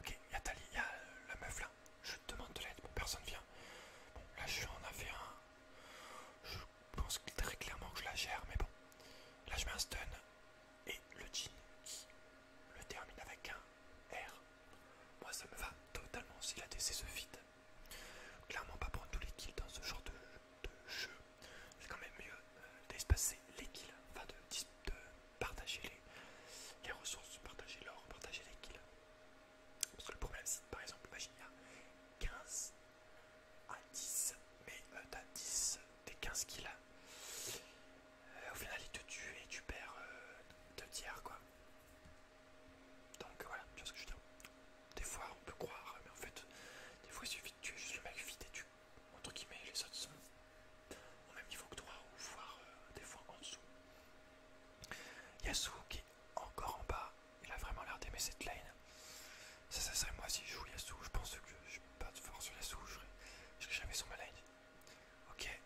Ok, il y a Tali, il y a la meuf là. Je demande de l'aide, personne vient. Bon là je suis en AV1. Je je pense très clairement que je la gère, mais bon. Là, je mets un stun et le jean qui le termine avec un R. Moi, ça me va totalement si la DC se vide. Clairement, pas prendre tous les kills dans ce genre de, jeu. C'est quand même mieux euh, d'espacer les kills, enfin de, partager les, les ressources, partager l'or, partager les kills. Parce que le problème, c'est par exemple, imagine, il y a 15 à 10, mais euh, t'as 10 des 15 qu'il a. Euh, au final, il te tue et tu perds 2 euh, tiers quoi. Donc voilà, tu vois ce que je veux dire. Des fois, on peut croire, mais en fait, des fois, il suffit de tuer juste le mec vite et tu, entre guillemets, les autres sont au même niveau que toi, ou voire des fois en dessous. Yasu qui encore en bas. Il a vraiment l'air d'aimer cette lane. Ça, ça serait moi si je joue Yasuo. Je pense que je suis pas de force sur Yasuo. Je jamais sur ma lane. Ok.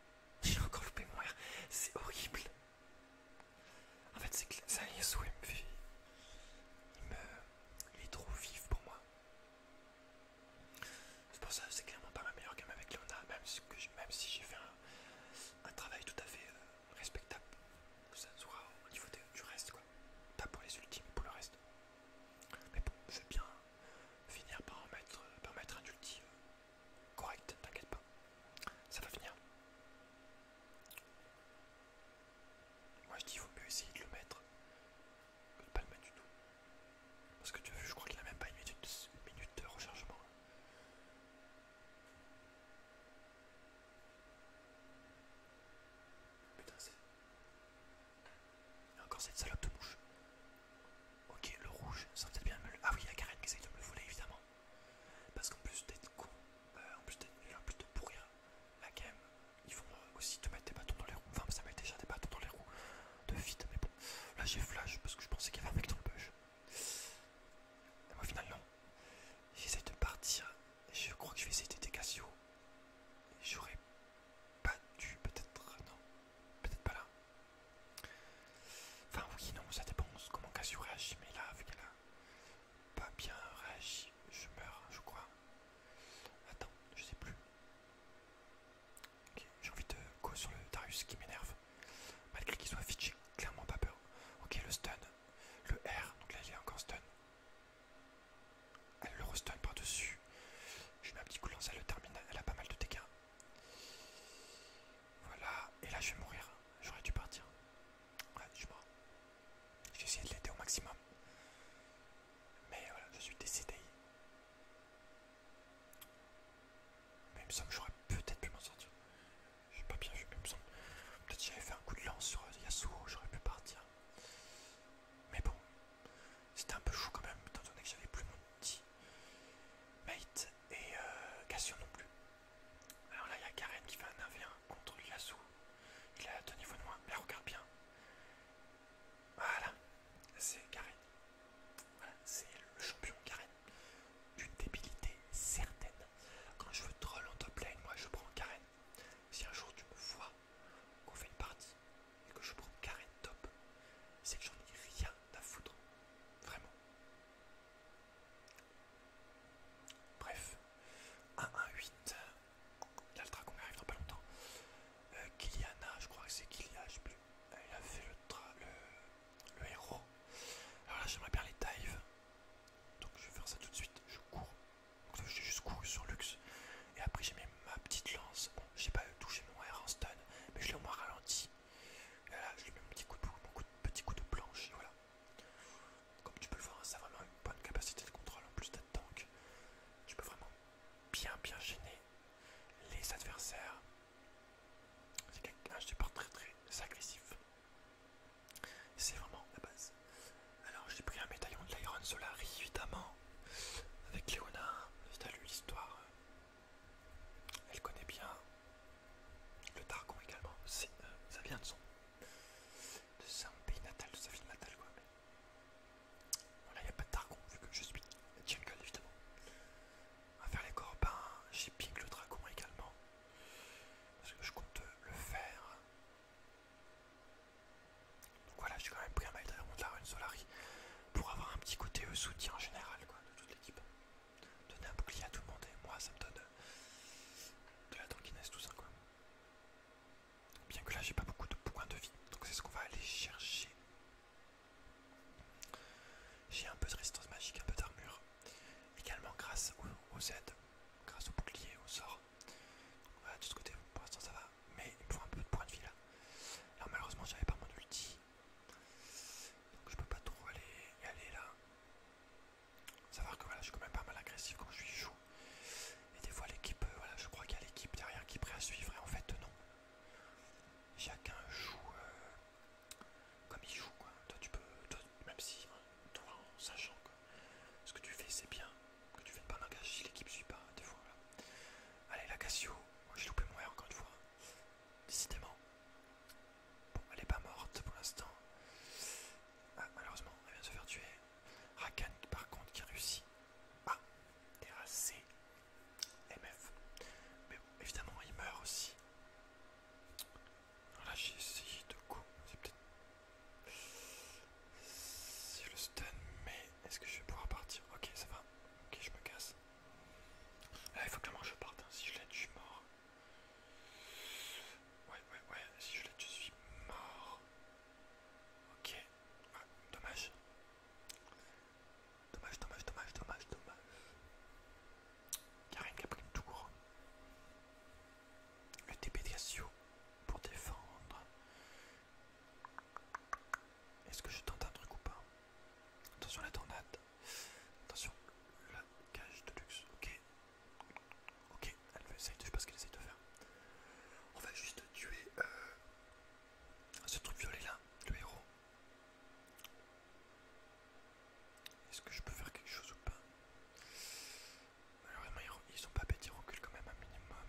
<laughs> J'ai encore loupé mon R. C'est horrible. En fait, c'est que Yasuo, il me fait. Il est trop vif pour moi. C'est pour ça c'est clairement pas ma meilleure game avec Leona, même si j'ai fait un, travail tout à fait. Euh, respectable. Ça soit au niveau du reste, quoi. Pas pour les ultimes, pour le reste. Mais bon, je vais bien finir par euh, mettre, un ultime euh, correct, t'inquiète pas. Ça va finir Moi je dis il vaut mieux essayer de le mettre que de pas le mettre du tout. Parce que tu as je crois qu'il a même pas une minute de rechargement. Putain, Il y a encore cette salope de bouche. Ok, le rouge, ça va peut-être bien me Ah oui, il y a Karen qui essaye de me le voler, évidemment. Parce qu'en plus d'être con, bah, en plus d'être de pourrir la game, ils vont euh, aussi te mettre des bâtons dans les roues. Enfin, ça met déjà des bâtons dans les roues de vite, mais bon. Là, j'ai flash parce que je pensais qu'il y avait un mec dans le bush. moi, finalement J'essaie de partir je crois que je vais essayer des Cassio. J'aurais pas dû, peut-être. Non, peut-être pas là. Enfin, oui, non, ça dépend comment Cassio réagit, mais là, vu qu'elle a pas bien réagi, je meurs, je crois. Attends, je sais plus. Ok, j'ai envie de go sur le Darius qui m'énerve. Malgré qu'il soit fit, j'ai clairement pas peur. Ok, le stun, le R, donc là il est encore stun. Elle le restone par-dessus. Je mets un petit coup de lance, elle le termine, elle a pas mal de dégâts. Voilà, et là je vais mourir. J'aurais dû partir. Ouais, je Je J'ai essayé de l'aider au maximum. Mais voilà, je suis décédé. Mais il me semble que j'aurais peut-être pu m'en sortir. J'ai pas bien vu, mais Peut-être j'avais fait un coup de lance sur Yasuo, j'aurais pu partir. Mais bon, c'était un peu chou quand même, étant donné que j'avais plus mon petit mate et euh, Cassio non plus. Alors là, il y a Karen qui fait un 1v1 hein, contre Yasuo. Il a deux niveaux de mais regarde bien. Voilà, c'est Karen. Voilà, c'est le champion Karen. D'une débilité certaine. Quand je veux troll en top lane, moi je prends Karen. Si un jour tu me vois, qu'on fait une partie et que je prends carré top, c'est que j'en ai rien à foutre. Vraiment. Bref, 1-1-8. L'Altra qu'on arrive dans pas longtemps. Euh, je crois que c'est Kiliana, je sais plus. Elle a fait le, le, le héros. Alors là, j'aimerais bien les dives. Donc je vais faire ça tout de suite. Je cours. Donc j'ai juste couru sur luxe Et après j'ai mis ma petite lance. Bon, j'ai pas touché mon air en stun, mais je l'ai au moins ralenti. Et là, je lui mets un petit coup de, planche, et voilà. Comme tu peux le voir, ça a vraiment une bonne capacité de contrôle en plus d'être tank. Tu peux vraiment bien bien gêner les adversaires. C'est quelqu'un, je pas très très agressif. C'est vraiment la base. Alors j'ai pris un médaillon de l'Iron Solari évidemment. Avec Léonard, l'histoire. Elle connaît bien. Le Targon également. Euh, ça vient de son. De pays natal, de sa ville natale quoi. là il n'y a pas de Targon vu que je suis Jungle évidemment. À faire les corps, j'ai ping le dragon également. Parce que je compte le faire donc voilà, j'ai quand même pris un mail de la rune Solari pour avoir un petit côté euh, soutien en général quoi, de toute l'équipe. Donner un bouclier à tout le monde et moi ça me donne euh, de la tankiness tout ça quoi. Bien que là j'ai pas beaucoup de points de vie, donc c'est ce qu'on va aller chercher. J'ai un peu de résistance magique, un peu d'armure, également grâce aux, Z, aides, grâce au bouclier, au sort, voilà, de ce côté, pour l'instant ça va, mais il me faut un peu de points de vie là. alors malheureusement, j'avais pas mon ulti. Donc je peux pas trop aller aller là. Savoir que voilà, je suis quand même pas mal agressif quand je suis chaud. Et des fois, l'équipe, euh, voilà, je crois qu'il y a l'équipe derrière qui est prêt à suivre, et en fait, non. Chacun joue euh, comme il joue, quoi. Toi, tu peux, même si, hein, toi, en sachant que ce que tu fais c'est bien, que tu viennes pas l'engager, l'équipe suit pas, des fois Allez la Cassio, j'ai loupé mon air encore une fois, décidément. Bon, elle est pas morte pour l'instant. Ah, malheureusement, elle vient de se faire tuer. Rakan par contre qui réussit à terrasser MF. Mais bon, évidemment il meurt aussi. Alors là j'ai essayé de coups, c'est peut-être si je le stun, mais est-ce que je vais pouvoir partir Ok, ça va. Ok, je me casse. Ah, il faut que que je parte. Hein. Si je l'aide, je suis mort. Ouais, ouais, ouais. Si je l'aide, je suis mort. Ok. Ah, dommage. dommage. Dommage, dommage, dommage, dommage, dommage. rien qui a pris une tour le TP pour défendre. Est-ce que je tente un truc ou pas Attention la tornade. Attention la cage de luxe. Ok. Ok, elle veut essayer je sais pas ce qu'elle essaye de faire. On va juste tuer euh, ce truc violet là, le héros. Est-ce que je peux faire quelque chose ou pas Malheureusement, ils sont pas bêtis ils reculent quand même un minimum.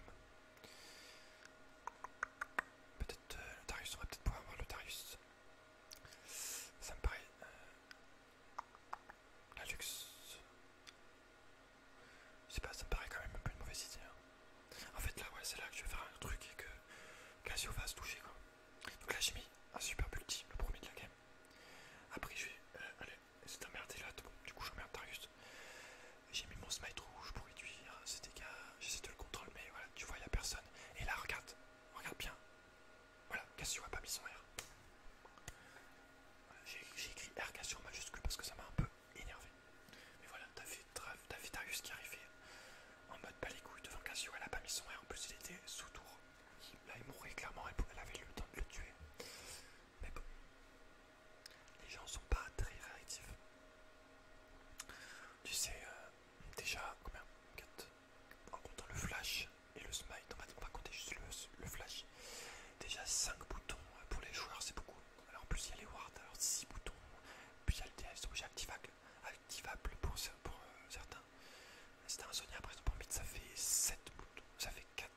Peut-être le euh, Darius, on va peut-être pouvoir avoir le Darius. Ça me paraît. Euh, la luxe. Je sais pas, ça me paraît quand même un peu une mauvaise idée. Hein. En fait, là, ouais, c'est là que je vais faire un truc et que Casio va se toucher quoi. Donc là, j'ai mis un super multi, le premier de la game. Après, je vais euh, et c'est emmerdée là, du coup j'emmerde Darius. J'ai mis mon smite rouge pour réduire ses dégâts, j'essaie de le contrôler, mais voilà, tu vois, il n'y a personne. Et là, regarde, regarde bien. Voilà, Cassio n'a pas mis son R. J'ai écrit R Cassio en majuscule parce que ça m'a un peu énervé. Mais voilà, t'as vu, fait Darius qui arrivait en mode pas les couilles devant Cassio, elle a pas mis son R, en plus il était sous tour. Là, il mourait clairement, elle avait le temps de le tuer. Mais les gens sont pas très réactifs. Tu sais, euh, déjà, combien En comptant le flash et le smite, on va compter juste le, flash. Déjà 5 boutons euh, pour les joueurs, c'est beaucoup. Alors en plus, il y a les wards, alors 6 boutons. Puis il y a le DS, activable, activable pour, euh, certains. C'était un Sonia, après exemple, en ça fait 7 boutons, ça fait 4,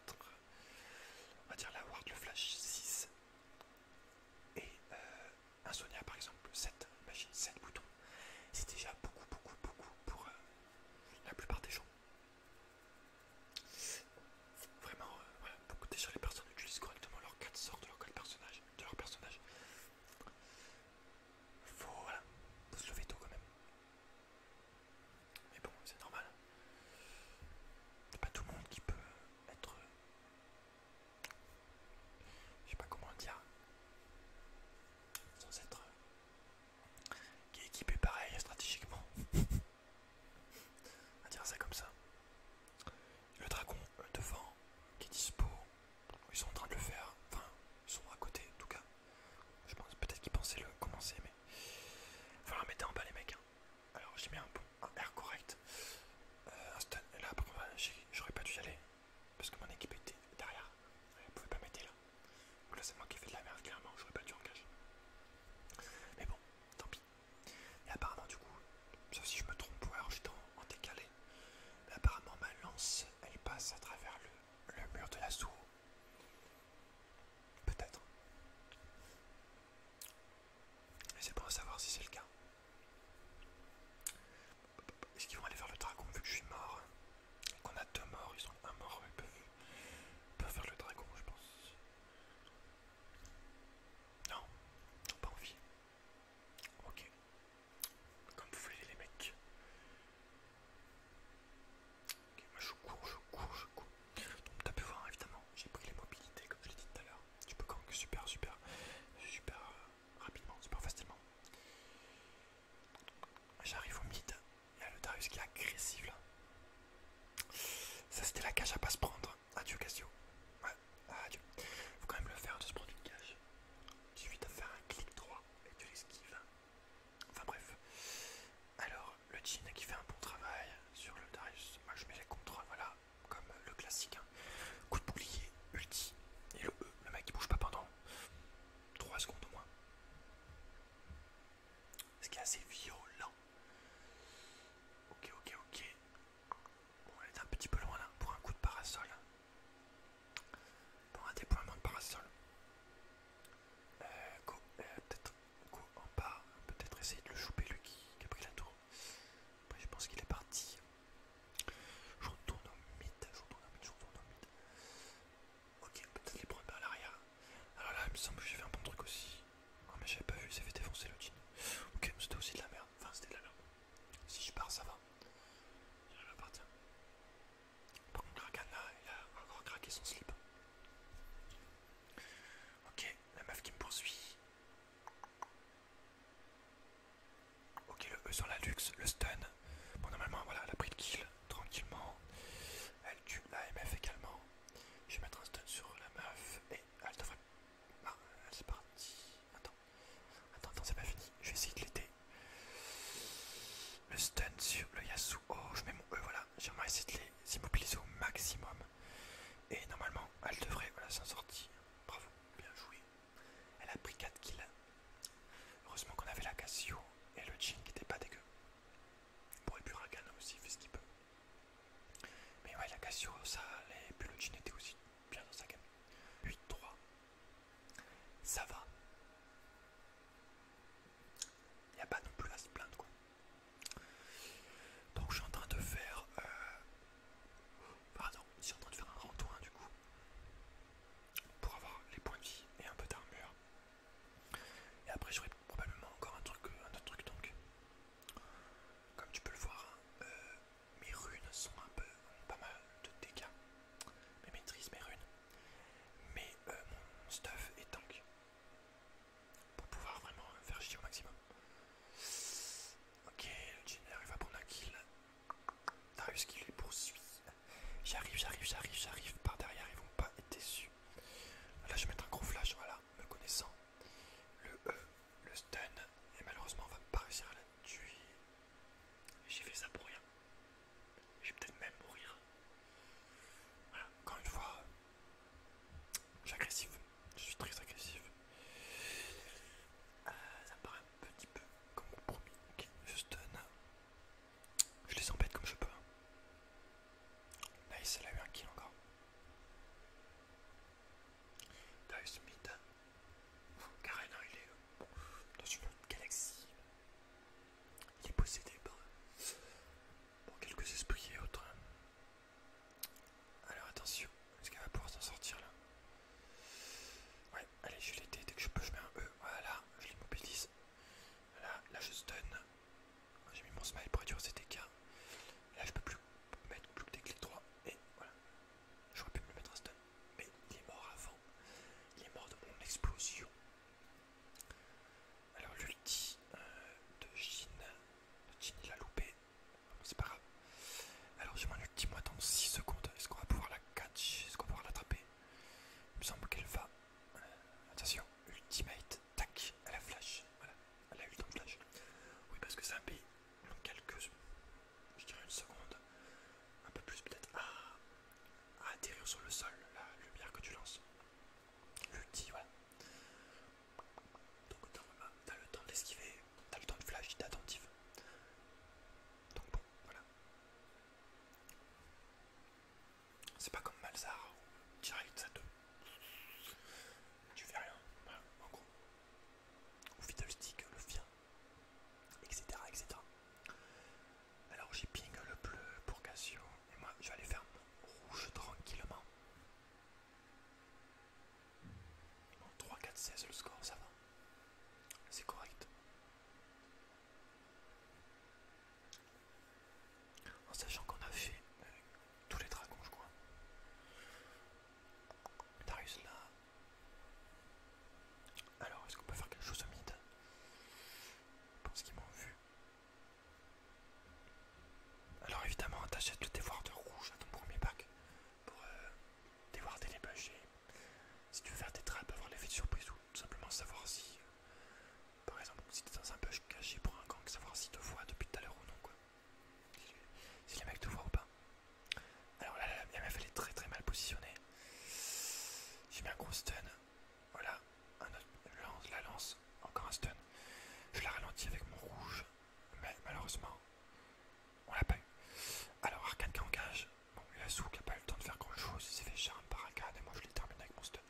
on va dire la Ward, le Flash 6 et un euh, Sonia par exemple 7, 7 boutons, c'est déjà beaucoup beaucoup beaucoup pour euh, la plupart des gens. Vraiment, beaucoup déjà les personnes utilisent correctement leurs 4 sorts de leur personnage, de leur personnage. Faut, faut se lever tôt quand même. Mais bon, c'est normal. C'est pas tout le monde qui peut être. Je sais pas comment dire. Sans être. Qui est équipé pareil stratégiquement. <laughs> à dire ça comme ça. Le dragon euh, devant qui est dispo. Ils sont en train de le faire. Enfin, ils sont à côté en tout cas. Je pense peut-être qu'ils pensaient le commencer, mais. va falloir mettre en bas les mecs. Hein. Alors j'ai mis un, bon, correct. Euh, là, j'aurais pas dû y aller. Parce que mon équipe était derrière. Elle pouvait pas m'aider là. Donc là, c'est moi qui ai fait de la merde, clairement. J'aurais pas dû engager. Mais bon, tant pis. Et apparemment, du coup, sauf si je me trompe, ou alors j'étais en, décalé. apparemment, ma lance, elle passe à travers le, mur de la l'assaut. Peut-être. mais c'est bon à savoir si c'est le cas. Est-ce qu'ils vont aller vers le dragon vu que je suis mort Qu'on a deux morts, ils sont un mort, ils peuvent, faire le dragon je pense. Non, pas envie. Ok. Comme vous voulez les mecs je cours, je cours, je cours. Donc as pu voir évidemment, j'ai pris les mobilités comme je l'ai dit tout à l'heure. Tu peux même super, super, super euh, rapidement, super facilement. J'arrive au mid, il y a le Darius qui est agressif là. Ça c'était la cage à pas se prendre. Adieu Cassio. Ouais, adieu. Faut quand même le faire de se prendre une cage. Il suffit de faire un clic droit et tu l'esquives. Enfin bref. Alors le jean qui fait un bon travail sur le Darius. Moi je mets les contrôles, voilà, comme le classique. Hein. Coup de boulier, ulti, et le E, le mec il bouge pas pendant 3 secondes au moins. Ce qui est assez violent. Ok, ok, ok. Bon, elle est un petit peu loin là pour un coup de parasol. Pour un déploiement de parasol. Euh, go, euh, peut-être go en bas, peut-être essayer de le choper lui qui, a pris la tour. Après je pense qu'il est parti. Je retourne au mid, je retourne au mid, je retourne au mid. Ok, peut-être les prendre à l'arrière. Alors là il me semble que j'ai fait un bon truc aussi. Ah mais j'avais pas vu, il fait défoncer le jean. Ok, mais c'était aussi de la merde. Enfin c'était de la merde. Si je pars ça va. Il partir. Par contre là, il a encore craqué son slip. Ok, la meuf qui me poursuit. Ok, le E sur la luxe, le stun. Bon, normalement, voilà, elle a pris le kill tranquillement. Elle tue la MF également. Je vais mettre un stun sur la meuf et elle devrait. Ah, c'est elle Attends, attends, attends, c'est pas fini. Je vais essayer de l'aider. Le stun sur le Yasuo. Oh, je mets mon E, voilà j'aimerais essayer de les immobiliser au maximum. Et normalement, elle devrait s'en sortir. Bravo, bien joué. Elle a pris 4 kills. Heureusement qu'on avait la Cassio et le Jin qui était pas dégueu. Pour pourrait plus aussi fait ce qu'il peut. Mais ouais, la Cassio, ça Et puis le Jin était aussi bien dans sa gamme. 8-3. Ça va. Il n'y a pas non plus à se plaindre quoi. Donc je suis en train de faire... Euh, pardon, suis en train de faire un randouin hein, du coup. Pour avoir les points de vie et un peu d'armure. Et après j'aurai probablement encore un, truc, euh, un autre truc tank. Comme tu peux le voir, hein, euh, mes runes sont un peu... pas mal de dégâts. Mais maîtrise mes runes. Mais mon stuff est tank pour pouvoir vraiment faire chier au maximum. Ok, le Jenner arrive à prendre un kill. Darius qui les poursuit. J'arrive, j'arrive, j'arrive, j'arrive. Par derrière, ils vont pas être déçus. Là, je vais mettre un gros flash, voilà, me connaissant. Le E, le stun, et malheureusement, on va pas réussir à la tuer. J'ai fait ça pour rien. Je vais peut-être même mourir. Voilà, encore une fois, J'agressif, je suis très agressif. Euh, ça paraît un petit peu comme promis. Ok, Je stun. Euh, je les embête comme je peux. Hein. Nice, elle a eu un kill encore. Nice mid. Hein. Hein, il est euh, dans une autre galaxie. Il est possédé par quelques esprits et autres. Alors attention, est-ce qu'elle va pouvoir s'en sortir là Ouais, allez, je l'ai dès que je peux, je mets un E. Voilà, je l'immobilise. Voilà, là je stun. J'ai mis mon smile pour réduire cet écart. Là je peux plus mettre plus que des clés droits. Et voilà, j'aurais pu me le mettre à stun. Mais il est mort avant. Il est mort de mon explosion. Alors l'ulti euh, de Jin. il a loupé. C'est pas grave. Alors j'ai mon l'ultime, dans 6 secondes. Est-ce qu'on va pouvoir la catch Est-ce qu'on va pouvoir l'attraper Il me semble qu'elle va. Euh, attention, ultimate. Tac, elle a flash. Voilà, elle a eu le flash. Oui parce que c'est un pays. Donc quelques. Je dirais une seconde. Un peu plus peut-être. à ah, ah, atterrir sur le sol, la lumière que tu lances. L'ulti, voilà. Donc t'as le temps d'esquiver, t'as le temps de flash, t'es attentif. Donc bon, voilà. C'est pas comme Malzar direct ça te... Tu fais rien, en gros. Ou Stick, le fien. etc. etc. Alors j'ai ping le bleu pour Cassio et moi je vais aller faire rouge tranquillement. 3, 4, 16 le score, ça va. C'est correct. En sachant qu'on a fait euh, tous les dragons, je crois. Darius là. Alors, est-ce qu'on peut faire quelque chose au mid Je pense qu'ils m'ont vu. Alors évidemment t'achètes le dévoir de rouge à ton premier pack pour euh, les bugs si tu veux faire des traps avoir l'effet de surprise ou tout simplement savoir si euh, par exemple si t'es dans un bûche caché pour un gang, savoir si te voit depuis tout à l'heure ou non quoi. Si, les mecs te voient ou pas. Alors là, la meuf elle est très très mal positionnée. J'ai mis un gros stun. Voilà, un lance, la lance, encore un stun. Je la ralentis avec mon rouge, mais malheureusement, on l'a pas eu. Alors Arcade qui engage, bon Yasuo qui a pas eu le temps de faire grand chose, il s'est fait charme par Arcane et moi je l'ai terminé avec mon stun.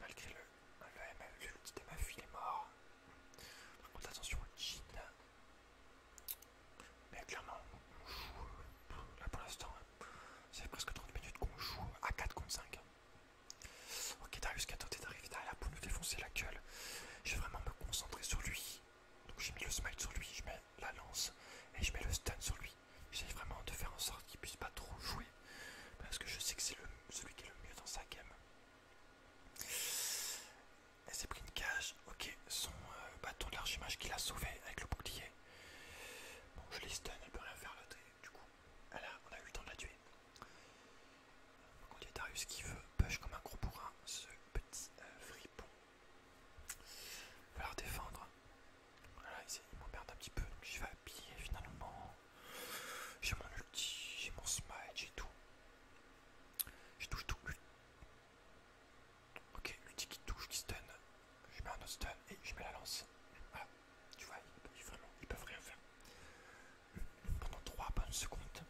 Malgré le, le, le de ma fille, il est mort. Par attention au Mais clairement, on joue, euh, là pour l'instant, c'est hein, presque 30 minutes qu'on joue à 4 contre 5. Ok, Darius qui tenté d'arriver derrière pour nous défoncer la gueule. Je vais vraiment me concentrer sur lui. Donc j'ai mis le smite sur lui, je mets la lance et je mets le stun sur lui. J'essaie vraiment de faire en sorte qu'il puisse pas trop jouer. Parce que je sais que c'est celui qui est le mieux dans sa game. Elle s'est pris une cage. Ok, son euh, bâton de l'archimage qui l'a sauvé avec le bouclier. Bon, je l'ai stun, elle peut rien faire l'autre du coup, on a eu le temps de la tuer. Donc on Darius qui veut push comme un gros bourrin ce petit euh, fripon. Il va leur défendre. Voilà, il m'emmerde un petit peu, donc vais habiller finalement. J'ai mon ulti, j'ai mon smite, j'ai tout. Je touche tout. Ok, l'ulti qui touche, qui stun. Je mets un autre stun et je mets la lance. Voilà, tu vois, ils peuvent rien faire pendant 3 bonnes secondes,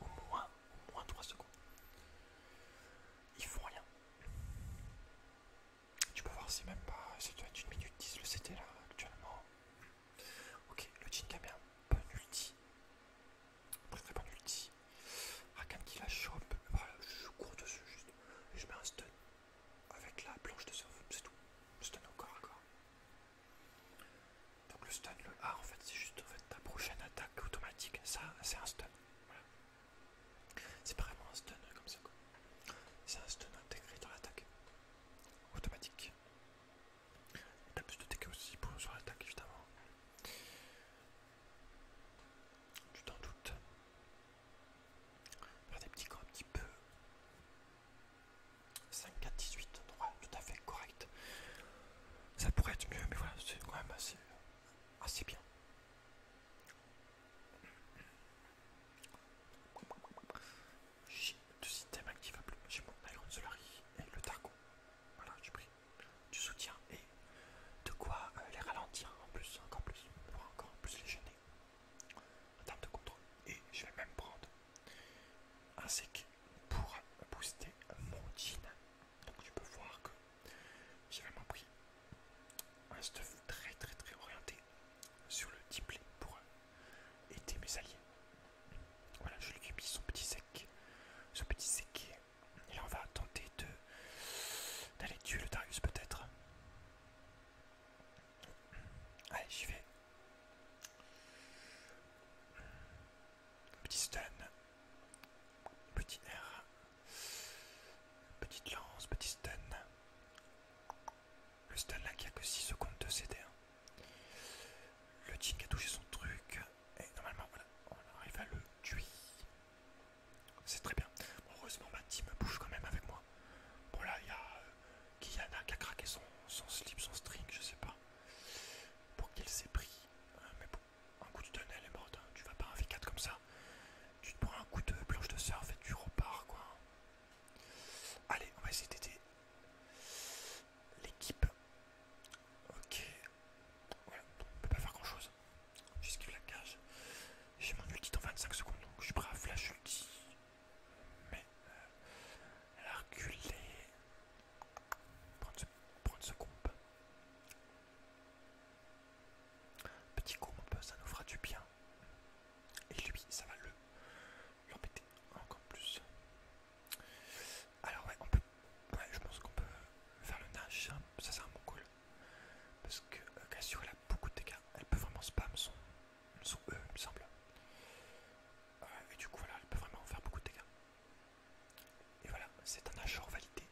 au moins, au moins 3 secondes. Ils font rien. Tu peux voir, c'est même pas. Ça doit être 1 minute 10 le CT là actuellement. Ok, le Jin bien, bonne ulti. Très très bonne ulti. Rakan qui la chope. Voilà, bah, je cours dessus juste. je mets un stun avec la planche de surf, c'est tout. Stun encore, encore. Donc le stun, le A en fait c'est juste fait, ta prochaine attaque automatique, ça c'est un stun. C'est pas vraiment un stun euh, comme ça C'est un stun intégré dans l'attaque. Automatique. T'as plus de dégâts aussi pour, sur l'attaque évidemment. Tu t'en doutes. Faire des petits camps un petit peu 5, 4, 18, droit tout à fait correct. Ça pourrait être mieux, mais voilà, c'est quand même assez, assez bien. J'ai deux systèmes activables, j'ai mon Iron Solari et le Targon. Voilà, je pris du soutien et de quoi euh, les ralentir en plus, encore plus, pour encore plus les gêner en de contrôle. Et je vais même prendre un sec pour booster mon jean. Donc tu peux voir que j'ai vraiment pris un stuff très très très orienté sur le deep pour aider mes alliés. Voilà, je lui ai mis son petit sec, son petit sec. Et là on va tenter de d'aller tuer le Darius peut-être. Allez, j'y vais. Petit stun. Petit air. Petite lance, petit stun. Le stun là qui a que 6 secondes de CD. Hein. Le team a touché son truc. Et normalement, voilà, on arrive à le tuer. C'est très bien. heureusement, ma team bouge quand même avec moi. Bon, là, il y a euh, qui y en a qui a craqué son, son slip, son string, je sais pas, pour qu'il s'est pris. mais bon, un coup de elle est morte, tu vas pas un V4 comme ça. Tu te prends un coup de planche de surf et tu repars quoi. Allez, on va essayer d'aider l'équipe. Ok, on peut pas faire grand chose. J'esquive la cage. J'ai mon ulti dans 25 secondes donc je suis prêt à flash ulti. Mais euh, elle a reculé. Prendre ce, prendre ce Petit groupe, ça nous fera du bien. Et lui, ça va le l'embêter encore plus. Alors ouais, on peut. Ouais, je pense qu'on peut faire le nage. Hein. Ça c'est un bon Parce que euh, Cassio elle a beaucoup de dégâts. Elle peut vraiment spam son, sont eux, il me semble. Euh, et du coup, voilà, elle peut vraiment faire beaucoup de dégâts. Et voilà, c'est un achat validé.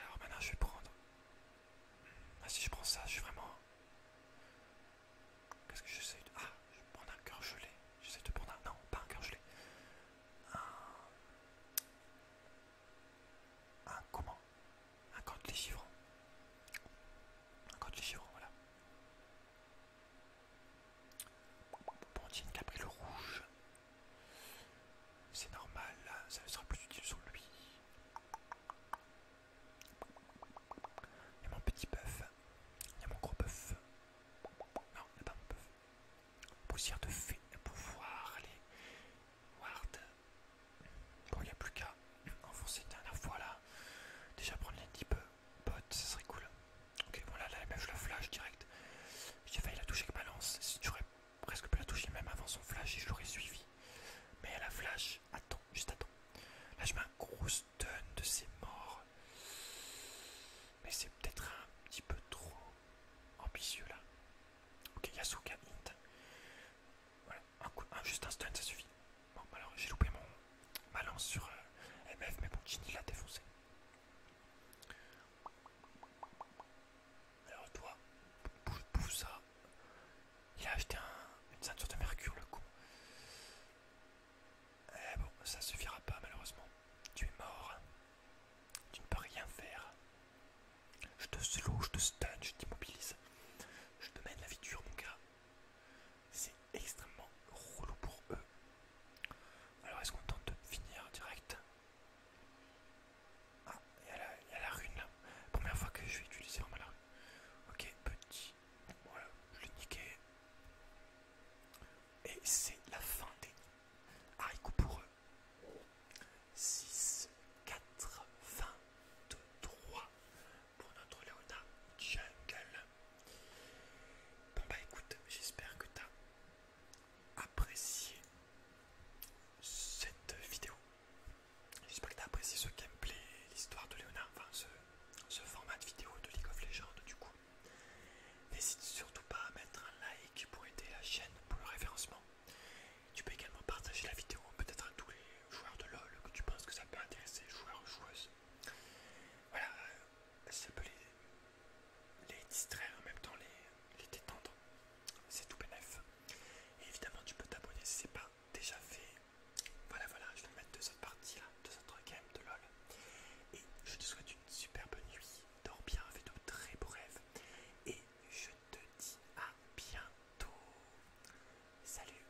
Alors maintenant, je vais prendre. Ah, si je prends ça, je suis vraiment. Qu'est-ce que je sais Ah, je vais un cœur gelé. je sais de prendre un. Non, pas un cœur gelé. Un. Un comment Un code les chiffres Un code les chiffres voilà. Bon, qui a le rouge. C'est normal, ça sera plus utile sur lui. Il y a mon petit bœuf. Il y a mon gros bœuf. Non, il n'y a pas mon bœuf. Poussière de fée pour voir les wards. Bon, il n'y a plus qu'à enfoncer une dernière fois là. Déjà prendre les 10 peu Pot, ça serait cool. Ok, bon là, je la flash direct. J'ai failli la toucher avec ma lance. j'aurais presque pu la toucher même avant son flash et je l'aurais suivi. Mais elle a flash. Attends, juste attends. Là, je mets un gros stun de ses morts. Mais c'est peut-être un petit peu trop ambitieux là. Ok, Yasuka hint. Voilà, juste un stun, ça suffit. Bon, j'ai loupé mon ma lance sur euh, MF, mais bon, genie l'a défoncé. Alors toi, bouge ça. Il a acheté une ceinture de mercure, le con. Eh bon, ça suffira pas, malheureusement. Tu es mort. Tu ne peux rien faire. Je te slow, je te stun, je t'immobilise. Je te mène la vie dure, mon gars c'est extrêmement relou pour eux. Alors est-ce qu'on tente de finir direct Ah, il y, a la rune là. Première fois que je vais utiliser vraiment la rune. Ok, petit. Voilà, je l'ai niqué. Et c'est la fin des haricots pour eux. 6, 4, 2, 20, 3 pour notre Leona Jungle. Bon bah écoute, j'espère que t'as apprécié cette vidéo. J'espère que t'as apprécié ce gameplay, l'histoire de Leona enfin ce, format de vidéo de League of Legends du coup. N'hésite surtout pas à mettre un like pour aider la chaîne pour le référencement. Tu peux également partager la vidéo peut-être à tous les joueurs de LoL que tu penses que ça peut intéresser, joueurs joueuses. Voilà, euh, ça peut les, distraire en même temps, les, détendre. C'est tout bénef. Et évidemment, tu peux t'abonner si c'est pas déjà fait. Voilà, voilà, je vais mettre deux autres parties là, deux autres games de LOL. Et je te souhaite une superbe nuit. Dors bien, fais de très beaux rêves. Et je te dis à bientôt. Salut